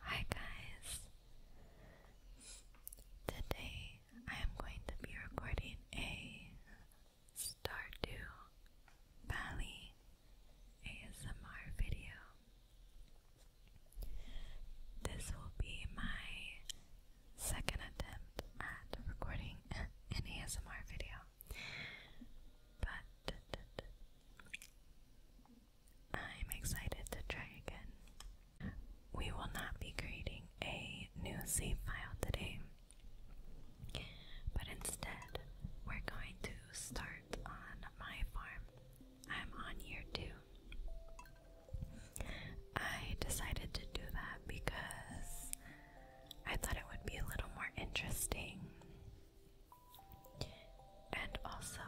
Hi guys. Today I am going to be recording a Stardew Valley ASMR video. This will be my second attempt at recording an ASMR video. But I'm excited to try again. We will not be creating a new save file today, but instead, we're going to start on my farm. I'm on year two. I decided to do that because I thought it would be a little more interesting. And also,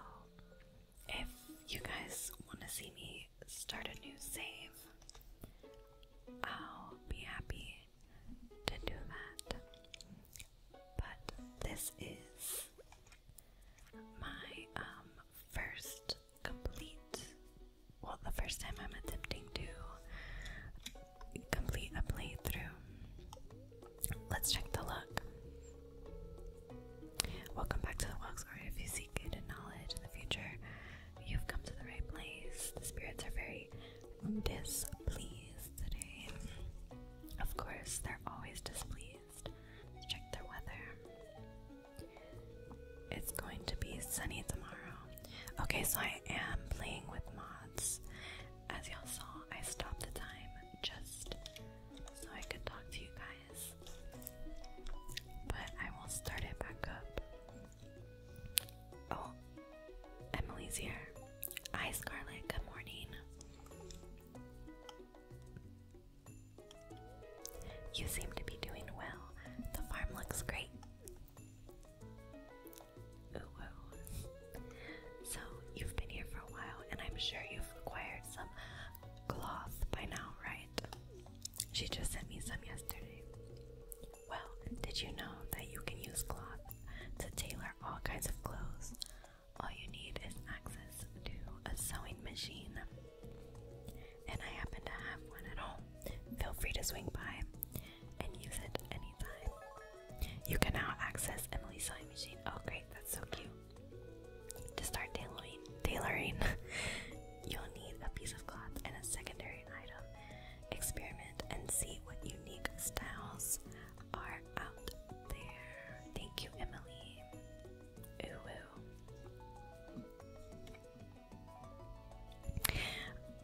if you guys want to see me start a new save, I'll be happy to do that. But this is my um, first complete, well, the first time I'm attempting to complete a playthrough. Let's check the look. Welcome back to the Walks, if you seek good knowledge in the future, you've come to the right place. The spirits are very displeased today. Of course, they're always displeased. Let's check their weather. It's going to be sunny tomorrow. Okay, so I am playing with mods. As y'all saw, I stopped the time just so I could talk to you guys. But I will start it back up. Oh, Emily's here. Hi, Scarlett. Good morning. You seem to be doing well. The farm looks great. So, you've been here for a while, and I'm sure you've acquired some cloth by now, right? She just sent me some yesterday. Well, did you know that you can use cloth to tailor all kinds of clothes? All you need is access to a sewing machine and I happen to have one at home, feel free to swing by and use it anytime. You can now access Emily's sewing machine. Oh, great, that's so cute. To start tailoring, tailoring you'll need a piece of cloth and a secondary item. Experiment and see what unique styles are out there. Thank you, Emily. Ooh, ooh.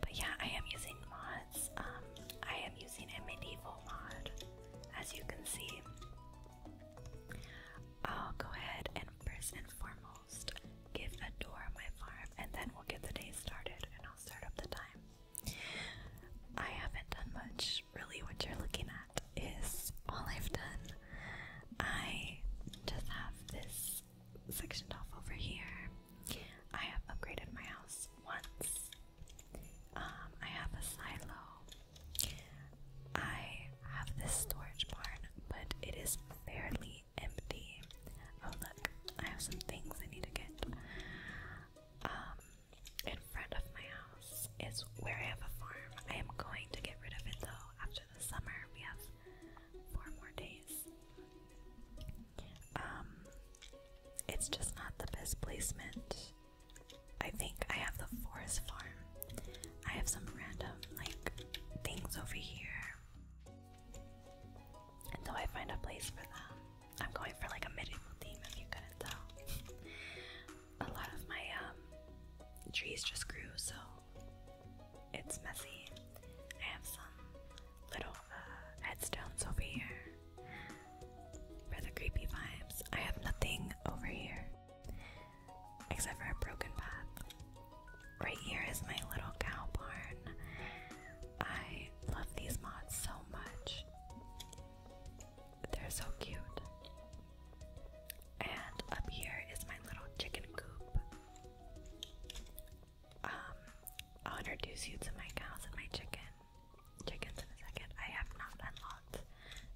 But yeah, I am using mods. Um, I am using a medieval mod, as you can see. I'll go ahead and first and foremost give a door my farm, and then we'll get the day started, and I'll start up the time. I haven't done much. Really, what you're looking at is all I've done. I just have this sectioned off over here. I have upgraded my house once. Um, I have a silo. I have this storage barn, but it is fairly empty. Oh look, I have some things I need to get. Um, in front of my house is where I have a farm. I am going to get rid of it though after the summer. We have four more days. Um, it's just not the best placement. I think I have the forest farm. I have some random like things over here. Until I find a place for them. I'm going for like a medieval theme if you couldn't tell. a lot of my um, trees just grew, so it's messy. I have some little uh, headstones over here for the creepy vibes. I have nothing over here except for a broken path. Right here is my little cow barn. I love these mods so much. They're so cute. And up here is my little chicken coop. Um, I'll introduce you to my cows and my chicken. Chickens in a second. I have not unlocked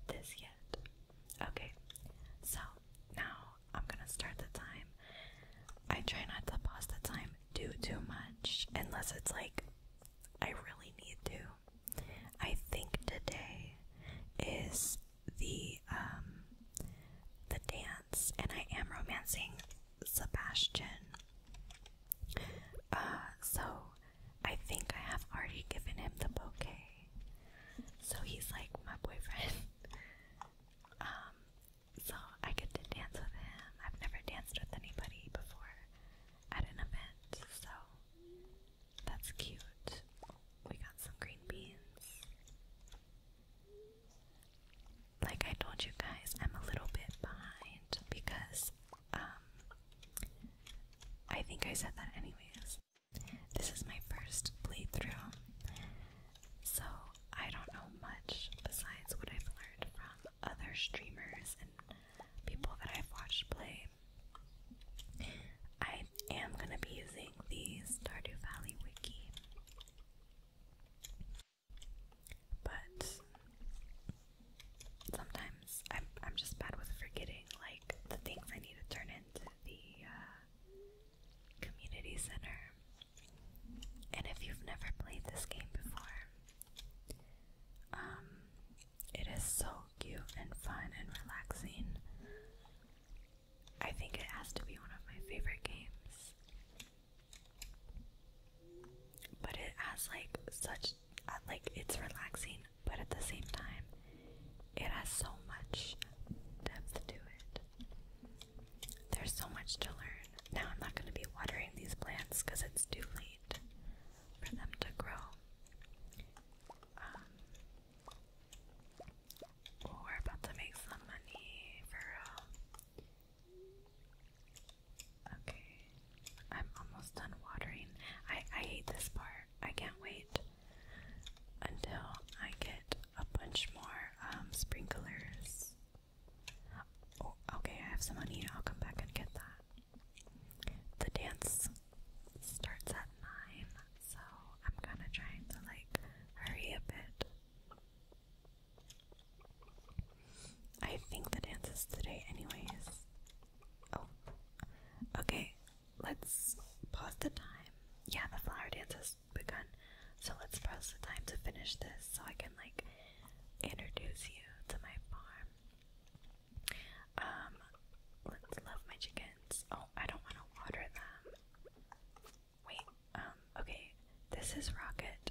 this yet. Okay, so now I'm gonna start the time. I try not to pause the time too too much unless it's like I really need to. I think today is the um, the dance and I am romancing Sebastian. Uh, so I think I have already given him the bouquet. So he's like my boyfriend. Um, so I get to dance with him. I've never danced with anybody before at an event, so that's cute. We got some green beans like I told you guys, I'm a little bit behind because um, I think I said that anyways. This is my first playthrough. So I don't know much besides what I've learned from other streamers and people that I've watched play. I am gonna be using the Stardew Valley wiki. But sometimes I'm I'm just bad with forgetting like the things I need to turn into the uh, community center. And if you've never played this game before, um, it is so cute and fun and relaxing. I think it has to be one of my favorite games. But it has like such uh, like it's relaxing, but at the same time it has so much depth to it. There's so much to learn. Now I'm not going to be watering these plants cuz it's too late for them to grow. Um, oh, we're about to make some money for um, Okay, I'm almost done watering. I, I hate this part. I can't wait until I get a bunch more um, sprinklers. Oh, okay, I have some money. I'll come back and get that. The dance starts at 9, so I'm kind of trying to like hurry a bit. I think the dance is today, anyways. Oh, okay. Let's pause the time. Yeah, the flower dance has begun. So let's pause the time to finish this so I can, like, introduce you to my farm. Um, let's love my chickens. Oh, I don't want to water them. Wait, um, okay. This is Rocket,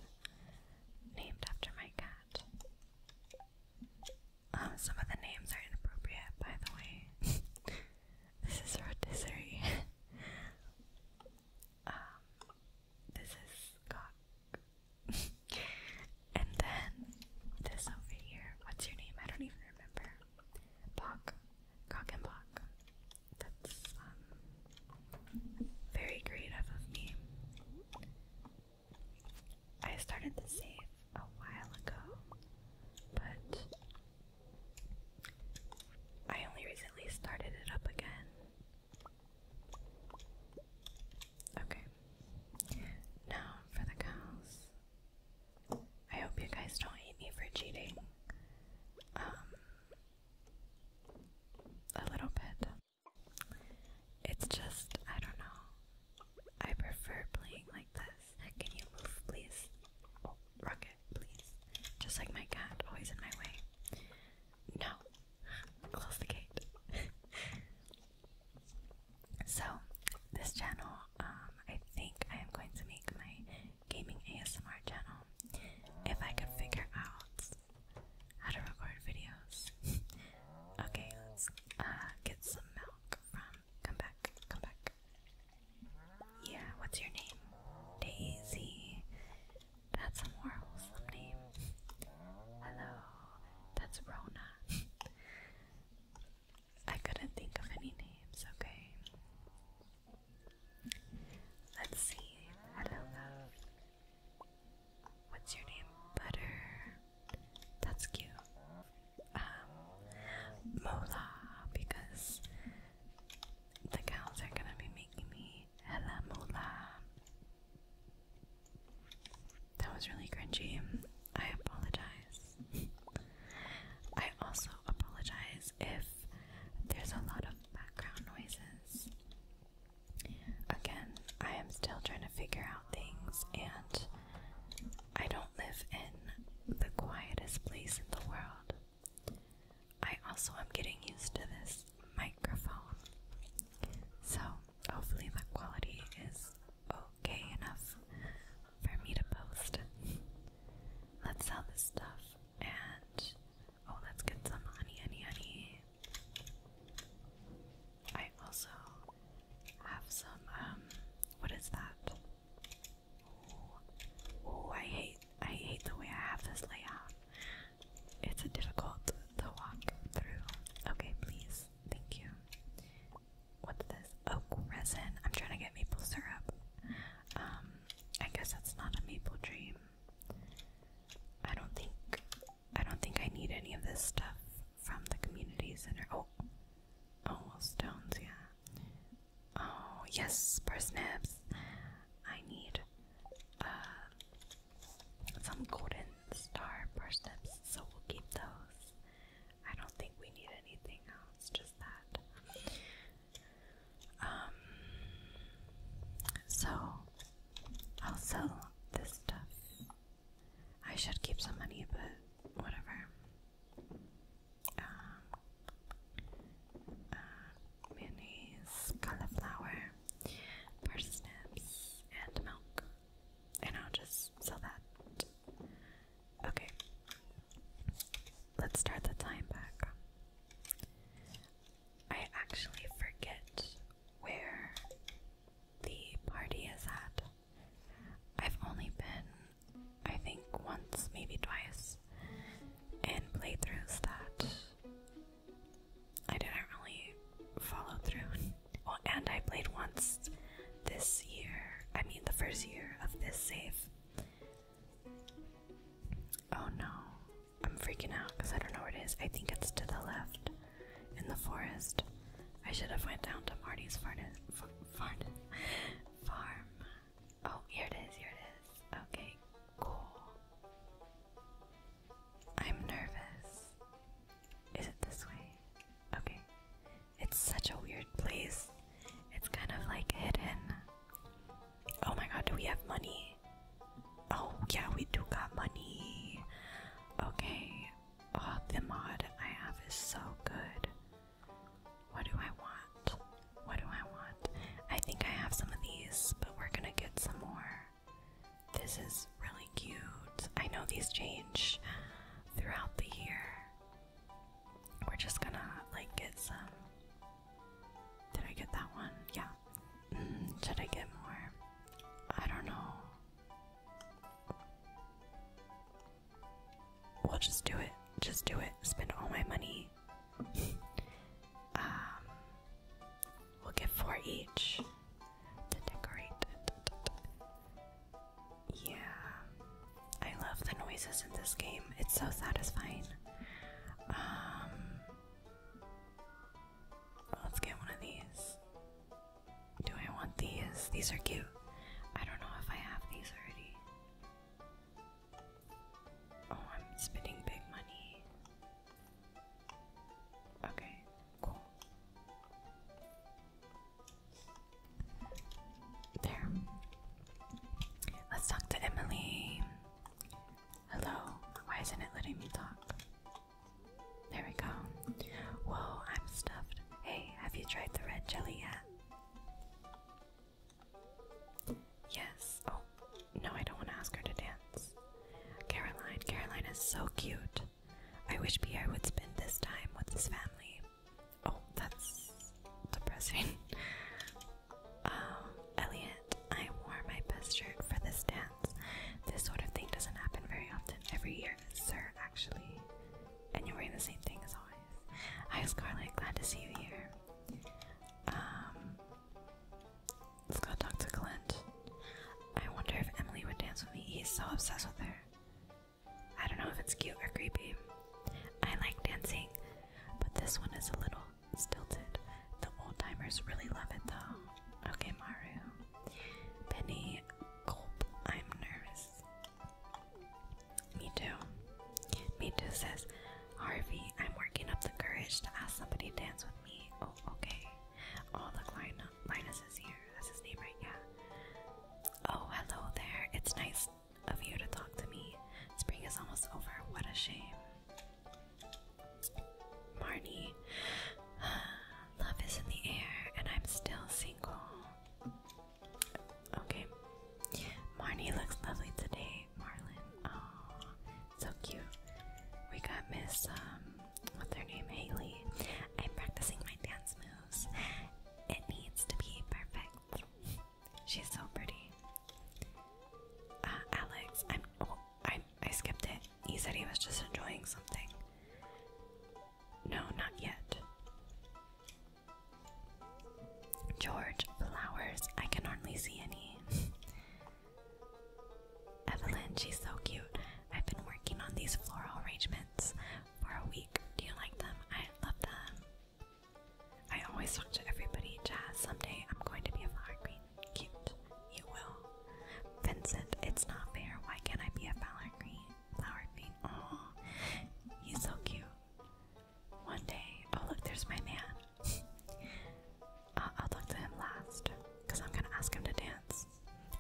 named after my cat. Um, some of the names are inappropriate, by the way. this is Rotisserie. um, this is Cock. and then this over here. What's your name? I don't even remember. Bok. Cock and Bok. That's um, very creative of me. I started to save a while ago, but I only recently started it up again. Okay, now for the cows. I hope you guys don't hate me for cheating. Um, a little bit. It's just, I don't know. I prefer playing like this. Can you move, please? Oh, rocket, please. Just like my cat, always in my way. No. Close the gate. so, this channel, um, I think I am going to make my gaming ASMR channel if I could figure out how to record videos. okay, let's uh, get some milk from. Come back, come back. Yeah, what's your name? Daisy. That's a more wholesome name. Hello, that's Rona. I couldn't think of any names, okay? Let's see. Hello, What's your name? Butter. That's cute. Um, mola, because the cows are gonna be making me hella Mola. That was really cringy. I apologize. I also apologize if there's a lot of background noises. Again, I am still trying to figure out things, and I don't live in the quietest place in the world. I also am getting used to this microphone, so hopefully, the quality is okay enough for me to post. Let's sell this stuff and Oh, let's get some honey, honey, honey. I also have some, um, what is that? Oh, oh I hate, I hate the way I have this layout. It's a difficult to walk through. Okay, please, thank you. What's this? Oak resin. I'm trying to get maple syrup. Um, I guess that's not a maple dream. I don't think I don't think I need any of this stuff from the community center. Oh, oh stones, yeah. Oh yes, snips. I need uh, some golden star snips, so we'll keep those. I don't think we need anything else, just that. Um, so I'll sell this stuff. I should keep some money, but whatever. Um, uh, mayonnaise, cauliflower, parsnips, and milk. And I'll just sell that. Okay. Let's start the time back. I actually forget where the party is at. I've only been, I think, once, maybe twice, in playthroughs that I didn't really follow through. Well, and I played once this year, I mean, the first year of this save. Oh no, I'm freaking out because I don't know where it is. I think it's to the left in the forest. I should have went down to Marty's farted, farm. Oh, here it is, here it is. Okay, cool. I'm nervous. Is it this way? Okay. It's such a weird place. It's kind of like hidden. Oh my god, do we have money? Oh, yeah, we do got money. Okay. Oh, the mod I have is so good. What do I want? What do I want? I think I have some of these, but we're gonna get some more. This is really cute. I know these change throughout the year. We're just gonna like get some. Did I get that one? Yeah. Mm, should I get more? I don't know. We'll just do it. Just do it. Spend all my money. Um, we'll get four each to decorate. Yeah. I love the noises in this game. It's so satisfying. Um, Let's get one of these. Do I want these? These are cute. I don't know if I have these already. Oh, I'm spending big money. Okay, cool. There. Let's talk to Emily. Hello, why isn't it letting me talk? There we go. Whoa, I'm stuffed. Hey, have you tried the red jelly yet? Yes. Oh, no, I don't want to ask her to dance. Caroline, Caroline is so cute. I wish Pierre would spend this time with his family. Oh, that's depressing. um, Elian I wore my best shirt for this dance. This sort of thing doesn't happen very often. Every year, sir, actually. And you're wearing the same thing as always. Hi, Scarlett. Glad to see you here. Um, let's go talk to Clint. I wonder if Emily would dance with me. He's so obsessed with her. I don't know if it's cute or creepy. I like dancing, but this one is a little Stilted. The old timers really love it though. Okay, Maru. Penny I'm nervous. Me too. Me too says, Harvey, I'm working up the courage to ask somebody to dance with me. Oh, okay. Oh, look, Linus, Linus is here. That's his name, right? Yeah. Oh, hello there. It's nice of you to talk to me. Spring is almost over. What a shame. Marnie, love is in the air and I'm still single. Okay. Marnie looks lovely today, Marlin. Oh, so cute. We got Miss, um, what's her name? Haley. I'm practicing my dance moves. It needs to be perfect. She's so pretty. Uh, Alex, I'm, oh, I'm I skipped it. He said he was just enjoying something. No, not yet. George, flowers. I can hardly see any. Evelyn, she's so cute. I've been working on these floral arrangements for a week. Do you like them? I love them. I always talk to everybody. Jazz, someday I'm going to be a flower queen. Cute. You will. Vincent, it's not fair. Why can't I be a flower queen, Flower green. Oh, he's so cute. One day. Oh, look, there's my man. Uh, I'll look to him last because I'm going to ask him to dance.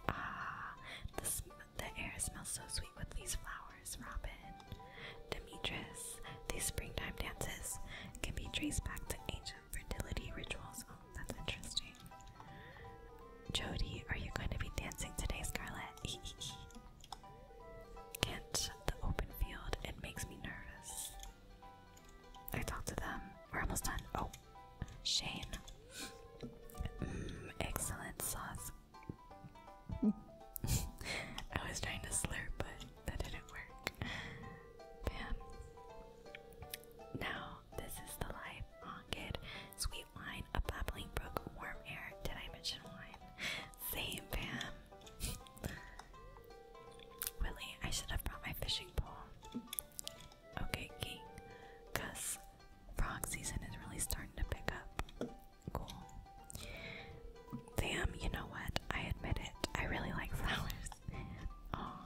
Ah, the, the air smells so sweet with these flowers, Robin. Demetrius, these springtime dances can be traced back to ancient fertility rituals. Oh, that's interesting. Jody, are you going to be dancing today, Scarlet? Can't the open field, it makes me nervous. I talked to them. We're almost done. Oh, Shane. Mm, excellent sauce. I was trying to slurp, but that didn't work. Bam. Now, this is the life. On good, sweet wine, a babbling brook, warm air. Did I mention wine? Same, Pam. Willie, I should have brought my fishing pole. Okay, King. Cuz frog season is really starting to pick up. Cool. Damn, you know what? I admit it. I really like flowers. Aw,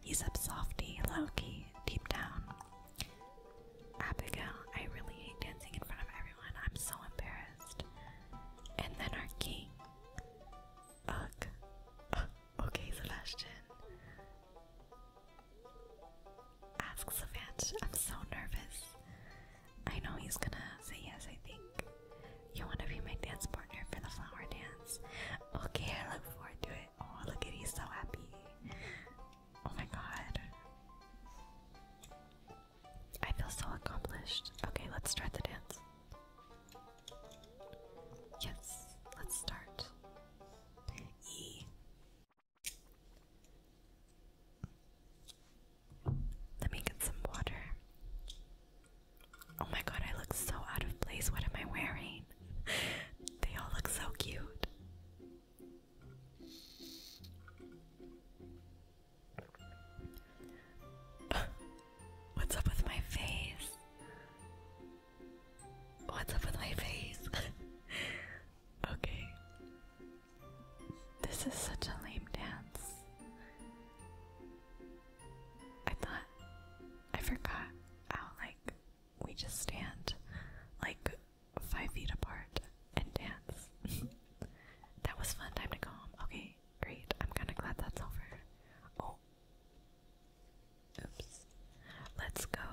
He's up softy, low-key, deep down. Abigail, I really hate dancing in front of everyone. I'm so embarrassed. And then our king. Ugh. Uh, okay, Sebastian. Ask Savant. I'm so nervous. I know he's gonna say yes, I think. You want to be my dance partner for the flower dance? Okay, I look forward to it. Oh, look at he's so happy. Oh my god. I feel so accomplished. Okay, let's start the dance. Yes, let's start. E. Let me get some water. Oh my god, I look so out of place. What am I wearing? they all look so cute. What's up with my face? What's up with my face? okay. This is such a lame dance. I thought I forgot how like we just stand like five feet apart and dance. that was fun time to go home. Okay, great. I'm kinda glad that's over. Oh Let's go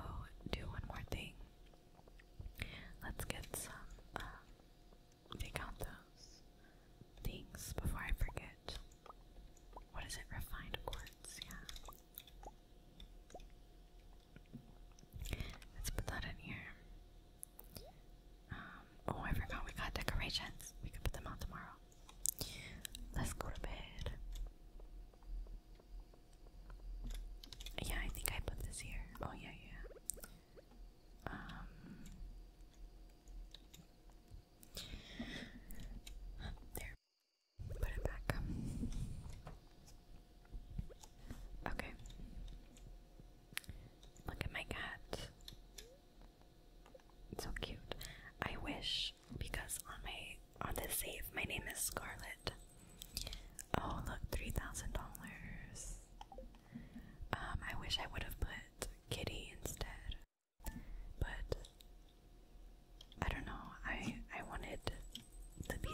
do one more thing. Let's get some um, take out those things before I forget. What is it? Refined of course yeah. Let's put that in here. Um, oh, I forgot we got decorations. We could put them out tomorrow. Let's go to bed. Yeah, I think I put this here. Oh, yeah, yeah. Um. There. Put it back. Okay. Look at my cat. so cute. I wish because on my on the save my name is Scarlet. Oh look, three thousand dollars. Um, I wish I would have put Kitty instead. But I don't know. I I wanted to be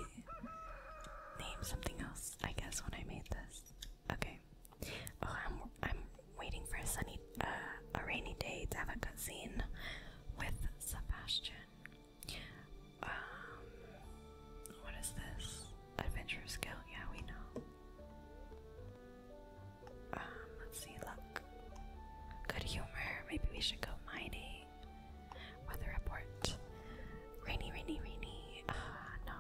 named something else. I guess when I made this. Okay. Oh, I'm I'm waiting for a sunny, uh, a rainy day to have a cutscene with Sebastian. Um, what is this? Adventure skill? Yeah, we know. Um, let's see, luck. Good humor. Maybe we should go mining. Weather report. Rainy, rainy, rainy. Uh, no.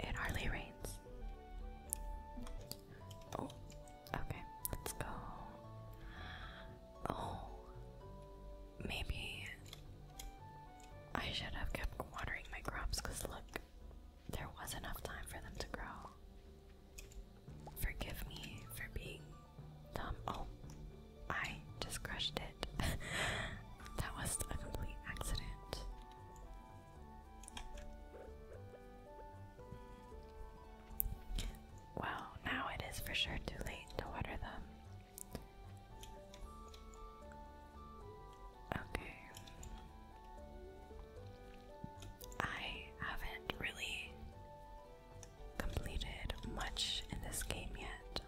It hardly rains. Oh, okay. Let's go. Oh, maybe I should have kept watering my crops because look, there was enough time for them to grow. Forgive me for being dumb. Oh, I just crushed it. that was a complete accident. Well, now it is for sure too late to water them. Okay. I haven't really completed much in this game yet.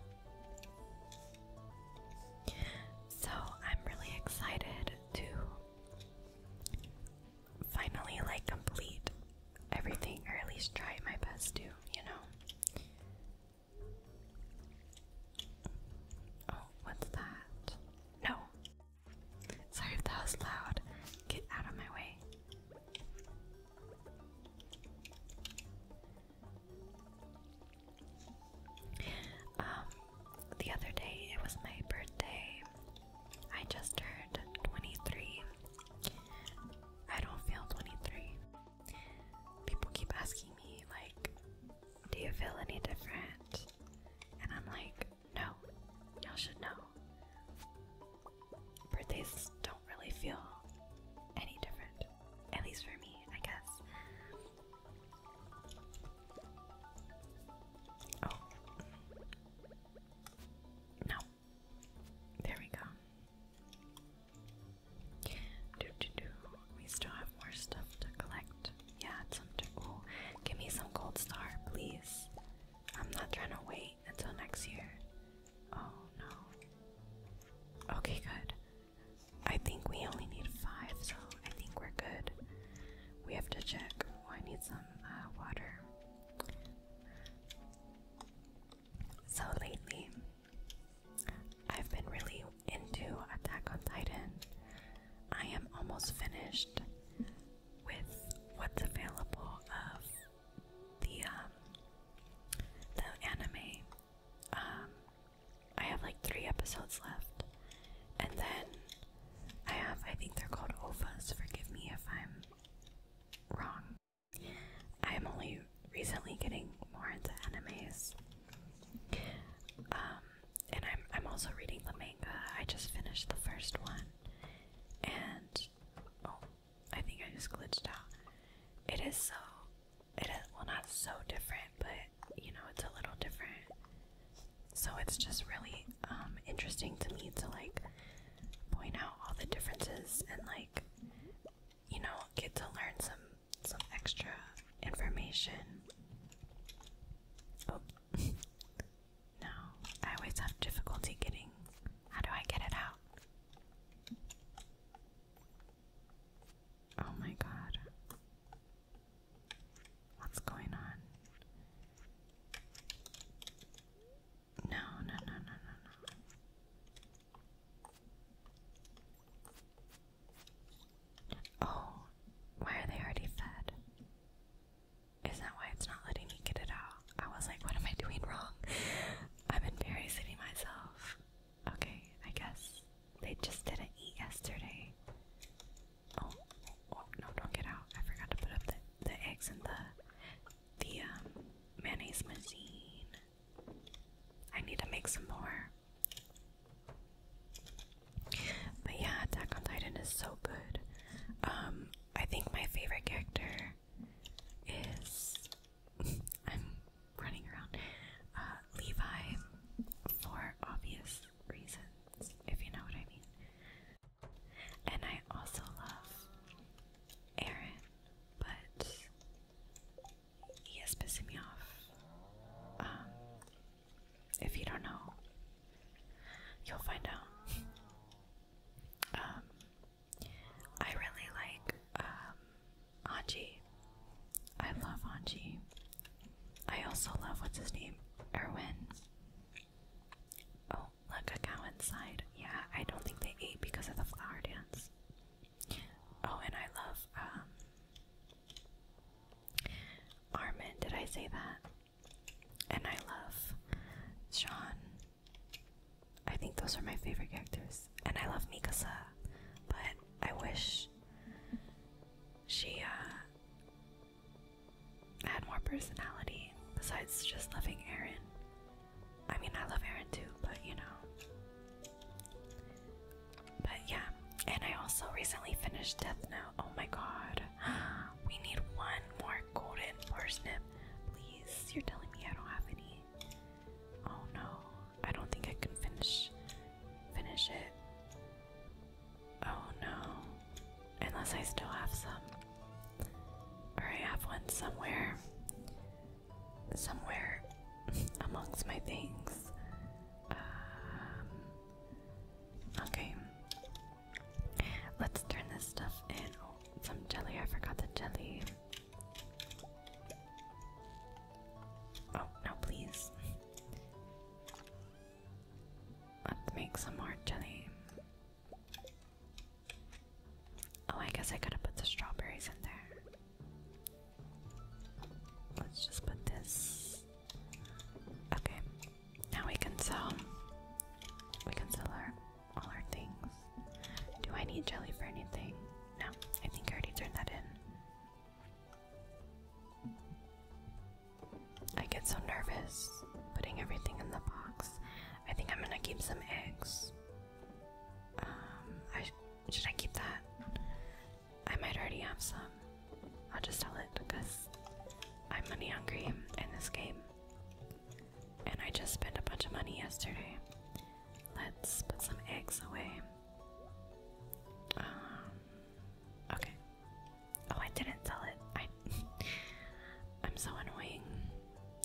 So I'm really excited to finally like complete everything or at least try my best to, you know. Oh, what's that? No, Sorry if that was loud. Get out of my way. Um, the other day it was my birthday. I just turned 23. I don't feel 23. People keep asking me, like, do you feel any different? And I'm like, no, y'all should know. Birthdays don't really feel any different. At least for me, I guess. Oh. No. There we go. Do do do. We still have more stuff to collect. Yeah, some. Oh, give me some gold star, please. I'm not trying to wait until next year. Oh no. Okay, good. I think we only need five, so I think we're good. We have to check. Oh, I need some uh, water. So lately, I've been really into Attack on Titan. I am almost finished with what's available of the um the anime. Um I have like three episodes left. And then I have I think they're called OVAs, forgive me if I'm wrong. I'm only recently getting more into animes. Um and I'm I'm also reading the manga. I just finished the first one and oh, I think I just glitched out. It is so, it is well not so different, but you know it's a little different. So it's just really um, interesting to me to like point out all the differences and like you know get to learn some some extra information. Oh, no, I always have difficulty getting. How do I get it out? Oh my god. What's going on? No, no, no, no, no, no. Oh, why are they already fed? Is that why it's not letting me get it out? I was like, what am I doing wrong? I'm embarrassing myself. Okay, I guess they just didn't eat yesterday. Oh, oh, no, don't get out. I forgot to put up the, the eggs in the, the um, mayonnaise machine. I need to make some more. But yeah, Attack on Titan is so good. Um, I think my favorite character is I'm running around uh, Levi for obvious reasons, if you know what I mean. And I also love Aaron, but he is pissing me off. Um, if you don't know, you'll find out. Um, I really like um, Anji. I love Anji. I also love what's his name, Erwin. Oh, look a cow inside. Yeah, I don't think they ate because of the flower dance. Oh, and I love um, Armin. Did I say that? and I love Sean. I think those are my favorite characters, and I love Mikasa, but I wish she uh, had more personality besides just loving Aaron. I mean, I love Aaron too, but you know. But yeah, and I also recently finished Death Note. Oh my god, we need one more golden parsnip. Please, you're telling me I don't have any. Oh no, I don't think I can finish finish it. Oh no. Unless I still have some. Or I have one somewhere. Somewhere amongst my things. Um, okay. Let's turn this stuff in. Oh, some jelly. I forgot the jelly. Oh, no, please. Let's make some more jelly. Oh, I guess I could have put the strawberries in there. Let's just put this. Okay, now we can sell. We can sell our all our things. Do I need jelly for anything? No, I think I already turned that in. I get so nervous putting everything in the box. I think I'm gonna keep some eggs. Um, should I keep that? I might already have some. I'll just sell it because I'm money hungry in this game and I just spent a bunch of money yesterday. Let's put some eggs away. Um, okay. Oh, I didn't sell it. I, I'm so annoying.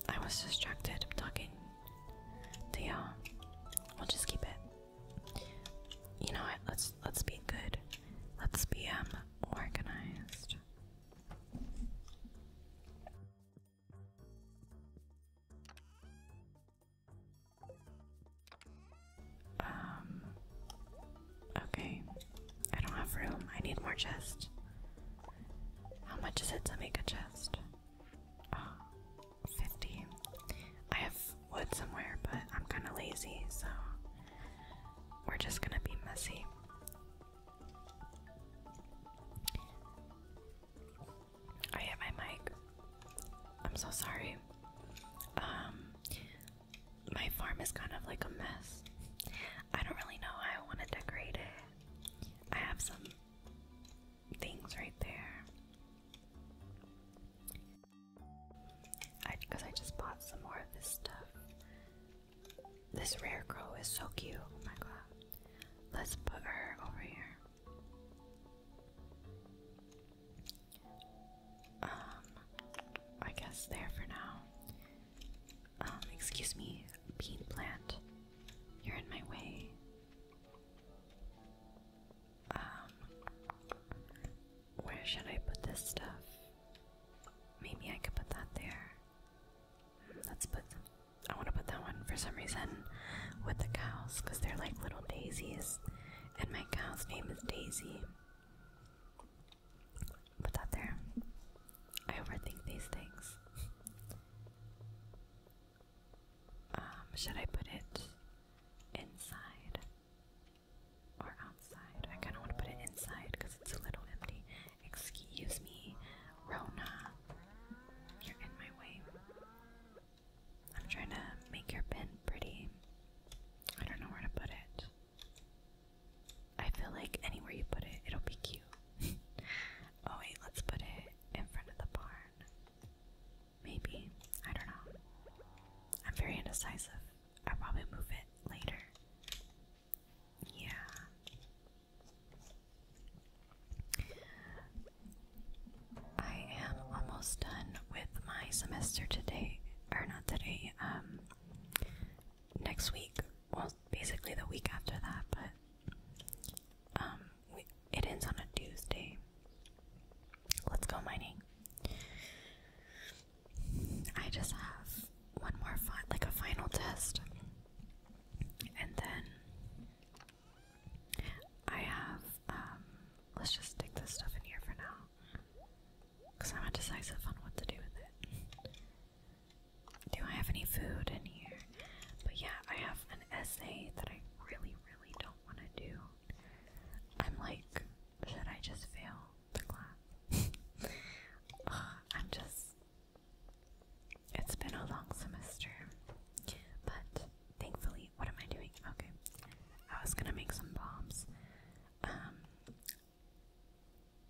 I was distracted talking to We'll just keep it. You know what? Let's let's be good. Let's be um, organized. Um okay. I don't have room. I need more chest. How much is it to make a chest? Oh, I have wood somewhere, but I'm kind of lazy, so we're just gonna be messy. I hit my mic. I'm so sorry. Um, my farm is kind of like a mess. I don't really know how I want to decorate it. I have some things right there. I because I just bought some more of this stuff. This rare crow is so cute. Oh my god. Let's put her over here. Um, I guess there for now. Um, excuse me, bean plant. You're in my way. Um, where should I put this stuff? Maybe I could put that there. Let's put. I want to put that one for some reason with the cows because they're like little daisies, and my cow's name is Daisy. Put that there. I overthink these things. Um, should I put it inside or outside? I kind of want to put it inside because it's a little empty. Excuse me, Rona. You're in my way. I'm trying to make your pin pretty. I don't know where to put it. I feel like anywhere you put it, it'll be cute. oh, wait, let's put it in front of the barn. Maybe. I don't know. I'm very indecisive. I'll probably move it later. Yeah. I am almost done with my semester today, or not today, um, next week. Well, basically the week after that, but um, it ends on a Tuesday. Let's go mining. I just have one more fi like a final test, and then I have um. Let's just stick this stuff in here for now, cause I'm indecisive on what to do with it. Do I have any food in here? But yeah, I have an essay that I really, really don't want to do. I'm like, should I just fail the class? I'm just it's been a long semester, but thankfully, what am I doing? Okay, I was gonna make some bombs. Um,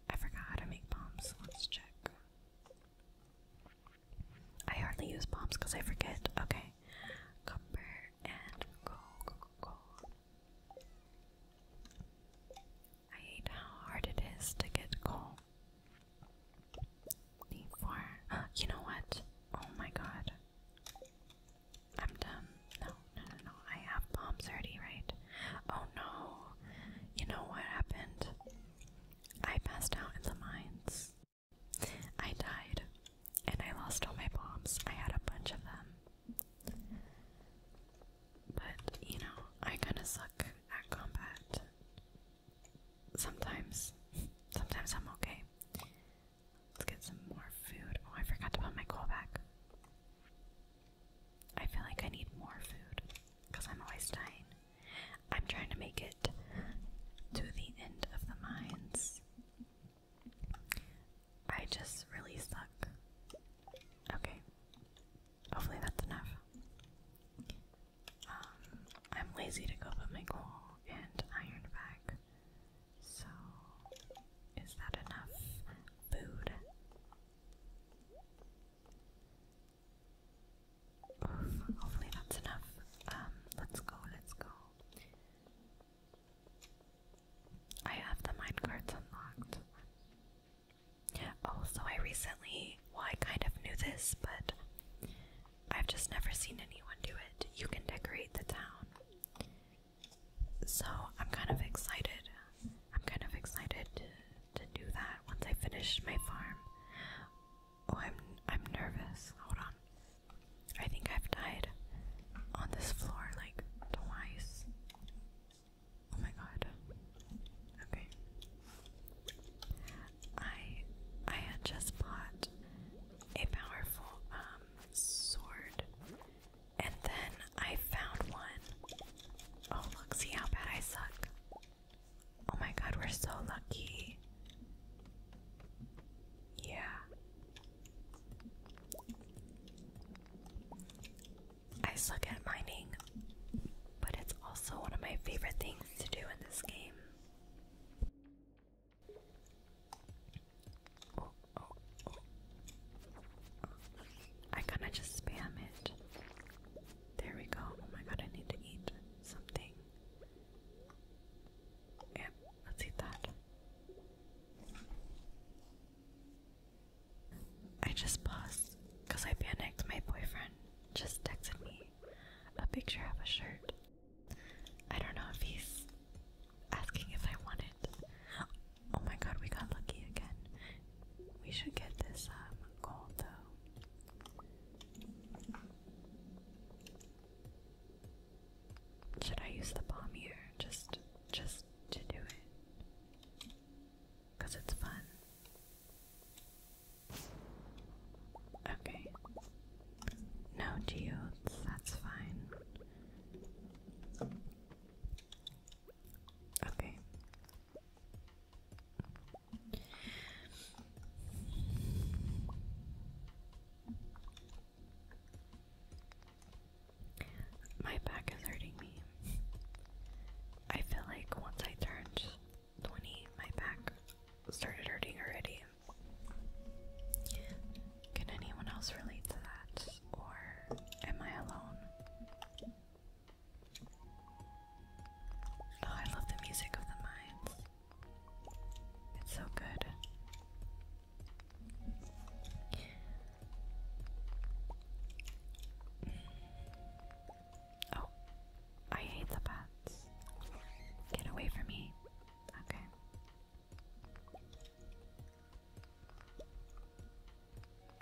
I forgot how to make bombs. Let's check. I hardly use bombs because I forget. Okay, copper and coal, I hate how hard it is to get coal. Need four. Uh, you know what? Oh my god. I'm dumb. No, no, no, no. I have bombs already, right? Oh no. You know what happened? I passed out in the mines. I died. And I lost all my bombs. I had a bunch of them. But, you know, I kinda suck at combat. Sometimes. Sometimes I'm okay. Let's get some more food. Oh, I forgot to put my coal back. I feel like I need more food because I'm always dying. I'm trying to make it to the end of the mines. I just really suck. Okay. Hopefully that's enough. Um, I'm lazy to go put my coal and iron back. So, is that enough food? hopefully that's enough. Um, let's go, let's go. I have the minecarts unlocked. Also, I recently, well, I kind of knew this, but I've just never seen anyone do it. You can decorate the town. So, I'm kind of excited. I'm kind of excited to, to do that once I finish my farm. Oh, I'm I'm nervous. Hold on. I think I've died on this floor like twice. Oh my god. Okay. I I had just bought a powerful um sword and then I found one. Oh look, see how bad I suck. Oh my god, we're so lucky. Yeah. I suck at mining, but it's also one of my favorite things to do in this game. I kind of just spam it. There we go. Oh my god, I need to eat something. Yep, let's eat that. I just paused because I panicked. My boyfriend just texted me a picture of a shirt. I don't know if he's asking if I want it. Oh my god, we got lucky again. We should get this um gold though. Should I use the bomb here just just to do it? Cause it's fun. Okay. No geodes, that's fine. Okay. My back is hurting me. I feel like once I turned 20. My back started hurting already. Can anyone else relate to that? Or am I alone? Oh, I love the music of the mines. It's so good. Oh, I hate the bats. Get away from me. Okay.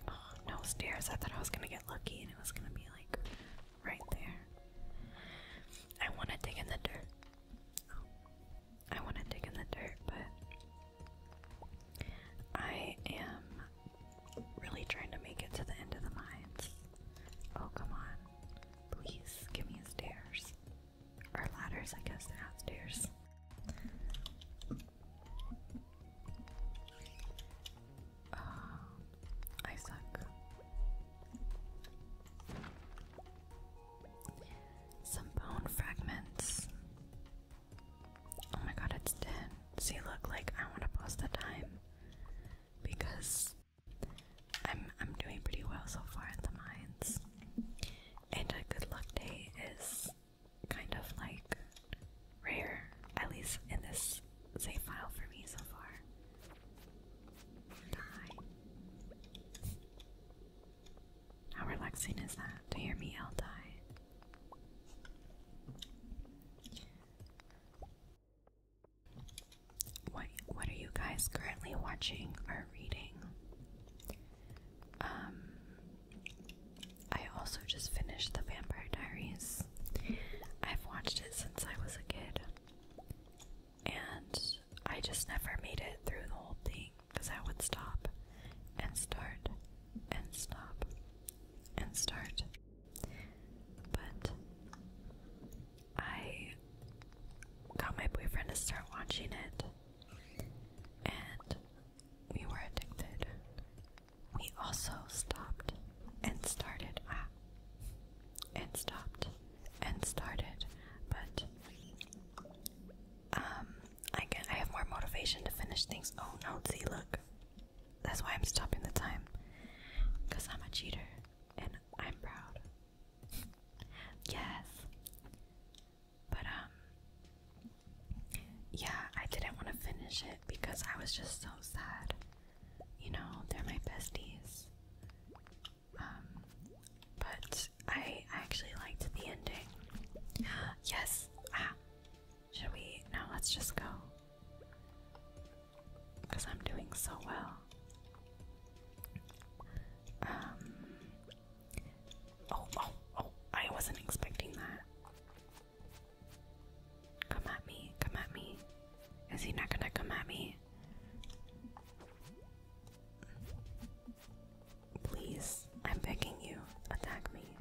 Oh, no stairs. I thought I was gonna get lucky and it was gonna be like right there. I wanna dig in the dirt. Oh, I wanna dig in the dirt, but I am Really trying to make it to the end of the mines. Oh, come on. Please, give me stairs. Or ladders, I guess they're not stairs. Uh, I suck. Some bone fragments. Oh my god, it's 10. See, look, like I want to post the time because I'm I'm doing pretty well so far in the mines. And a good luck day is kind of like rare, at least in this save file for me so far. Die. How relaxing is that to hear me yell die? What what are you guys currently watching or reading? Um I also just finished The Vampire Diaries. I've watched it since I was a kid. And I just never made it through the whole thing because I would stop and start and stop and start but I got my boyfriend to start watching it, and we were addicted. We also stopped and started. Ah, and stopped and started, but um, I can I have more motivation to finish things. Oh no, see, look, that's why I'm stopping the time. Because I'm a cheater. And I'm proud. yes. But, um. Yeah, I didn't want to finish it because I was just so sad. You know, they're my besties. Um. But I actually liked the ending. yes. Ah, should we? No, let's just go because I'm doing so well. Um, oh, oh, oh, I wasn't expecting that. Come at me, come at me. Is he not gonna come at me? Please, I'm begging you, attack me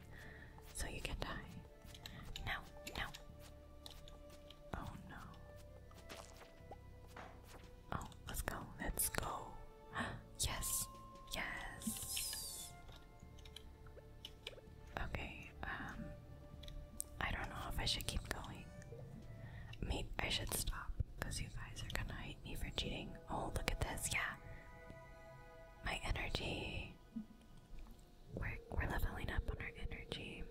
so you can die. No, no. Oh no. Oh, let's go, let's go. yes, yes. Okay, um, I don't know if I should keep going. Maybe I should stop because you guys are gonna hate me for cheating. Oh, look at this, yeah. My energy. We're, we're leveling up on our energy.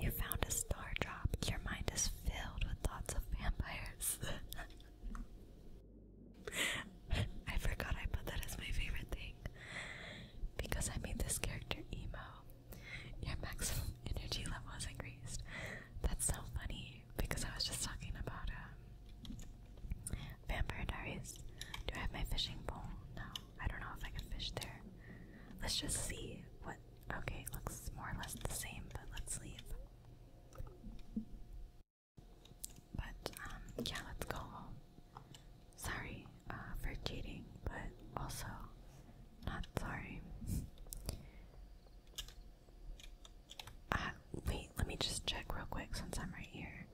You found a star drop. Your mind is filled with thoughts of vampires. I forgot I put that as my favorite thing because I made this character emo. Your maximum energy level is increased. That's so funny because I was just talking about um, Vampire Diaries. Do I have my fishing pole? No. I don't know if I can fish there. Let's just see what. Okay, looks more or less the same, but let's leave. But, um, yeah, let's go Sorry uh, for cheating, but also not sorry. Uh, wait, let me just check real quick since I'm right here.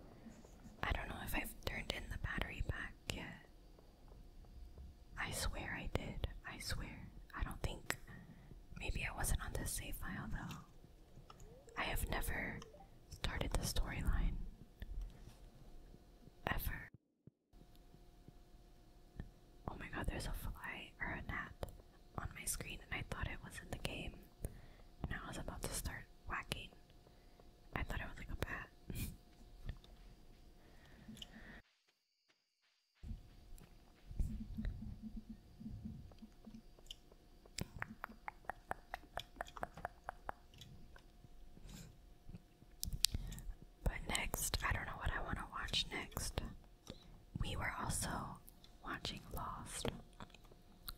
I don't know if I've turned in the battery pack yet. I swear I did. I swear. I don't think. Maybe I wasn't on the save file though. I have never started the storyline. Ever. Oh my god, there's a fly or a gnat on my screen, and I thought it was in the game. And I was about to start whacking I thought it was like a bat. But next, I don't know what I want to watch next. We were also watching Lost.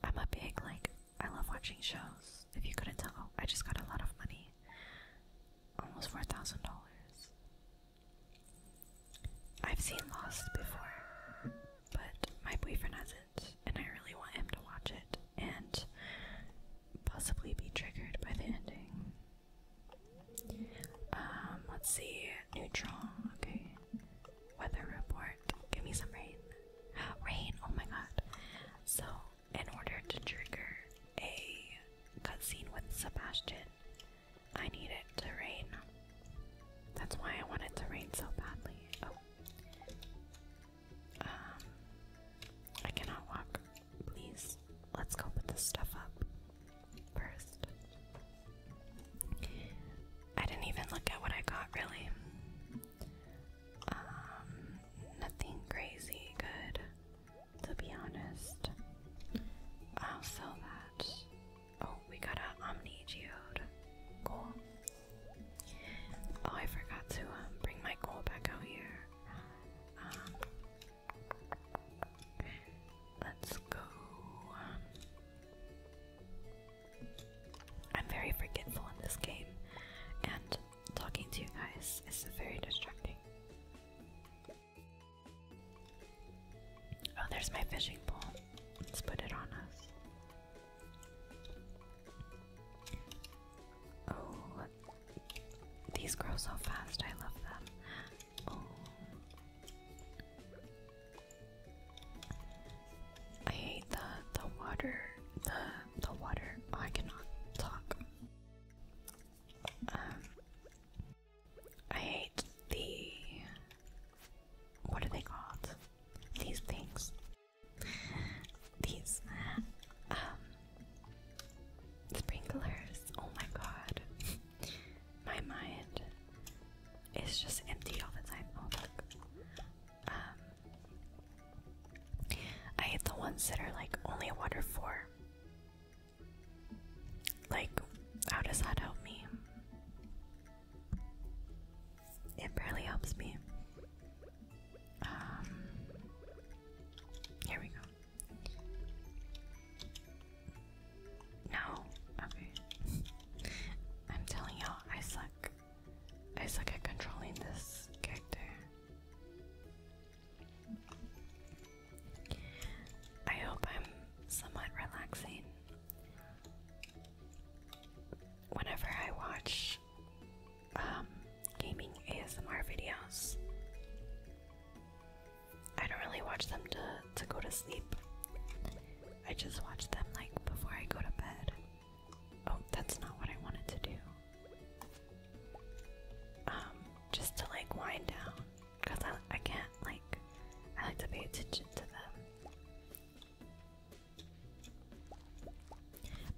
I'm a big, like, I love watching shows. If you couldn't tell, I just got a lot of money. Almost $4,000. I've seen Lost before, but my boyfriend hasn't, and I really want him to watch it and possibly be triggered by the ending. Um, let's see. Neutron, okay. Weather report. Give me some rain. Rain, oh my god. So, in order to trigger a cutscene with Sebastian, I need it to rain. That's why I want it to rain so badly. Oh. Um, I cannot walk. Please, let's go put this stuff up first. I didn't even look at what I got, really. Um, nothing crazy good, to be honest. I'll sell that. Oh, we got an Omni Geode. Cool. Oh, I forgot to um, bring my coal back out here. Um, let's go. Um, I'm very forgetful in this game, and talking to you guys is very distracting. Oh, there's my fishing pole. Let's put it on us. Oh, these grow so fast. I love them. Oh. I hate the the water. The the water. Oh, I cannot talk. Um, I hate the. What are they called? These things. These. Um, sprinklers. Oh my god. my mind is just empty all the time. Oh, I hate the ones that are like only water for. Like, how does that help me? It barely helps me. Um, here we go. No, okay. I'm telling y'all, I suck. I suck at controlling this character. I hope I'm somewhat relaxing. Whenever I watch um, gaming ASMR videos, I don't really watch them to, to go to sleep. I just watch them like before I go to bed. Oh, that's not what I wanted to do um, just to like wind down, cause I I can't like I like to pay attention to them.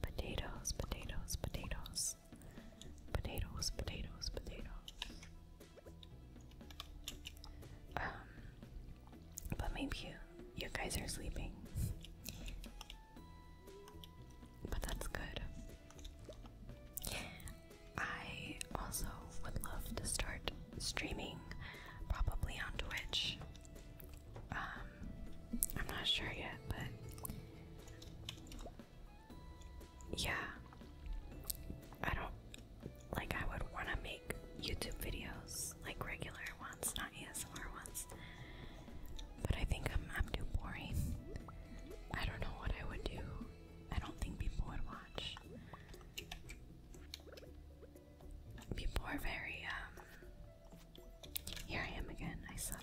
Potatoes, potatoes, potatoes, potatoes, potatoes, potatoes. Um, but maybe you you guys are sleeping. But that's good. I also would love to start streaming, probably on Twitch. Um, I'm not sure yet, but yeah, I don't like. I would want to make YouTube videos, like regular ones, not ASMR ones. But I think I'm too boring. I don't know what I would do. I don't think people would watch. People are very um here I am again, I suck.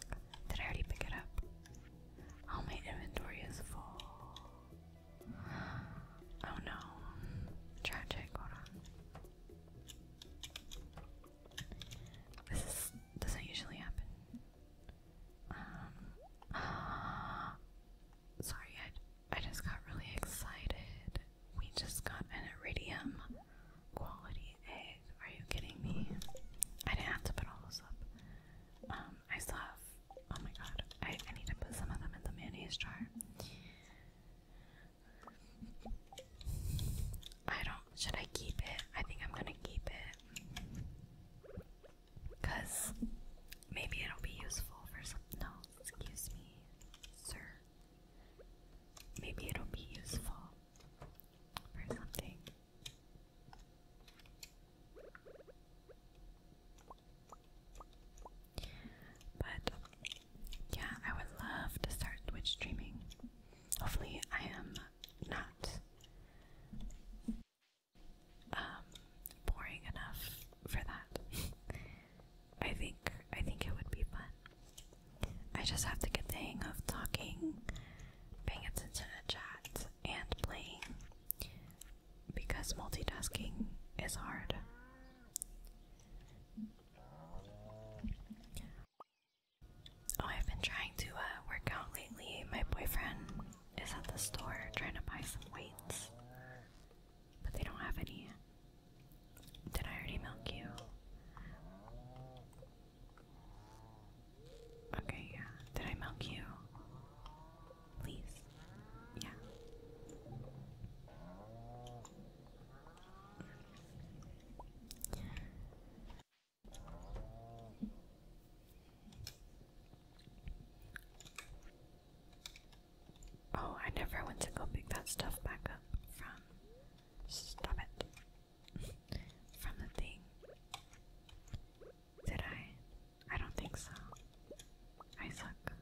Did I already pick it up? All oh, my inventory is full. Oh no. Tragic, hold on. This is doesn't usually happen. Um, sorry, I, I just got really excited. We just got an iridium quality egg. Are you kidding me? I didn't have to put all those up. Um, I still have. Oh my god, I, I need to put some of them in the mayonnaise jar. I don't. Should I keep it? I think I'm gonna keep it. Because maybe it'll be useful for some. No, excuse me, sir. Maybe it'll be useful for something. But yeah, I would love to start Twitch streaming. Hopefully, I am not um, boring enough for that. I think I think it would be fun. I just have to get the hang of talking, paying attention to chat, and playing because multitasking is hard. Oh, I've been trying to uh, work out lately. My boyfriend is at the store trying to buy some weights, but they don't have any. Did I already milk you? Okay, yeah. Did I milk you? Please. Yeah. Oh, I never went to go pick that stuff back up from. Stop it. from the thing. Did I? I don't think so. I suck.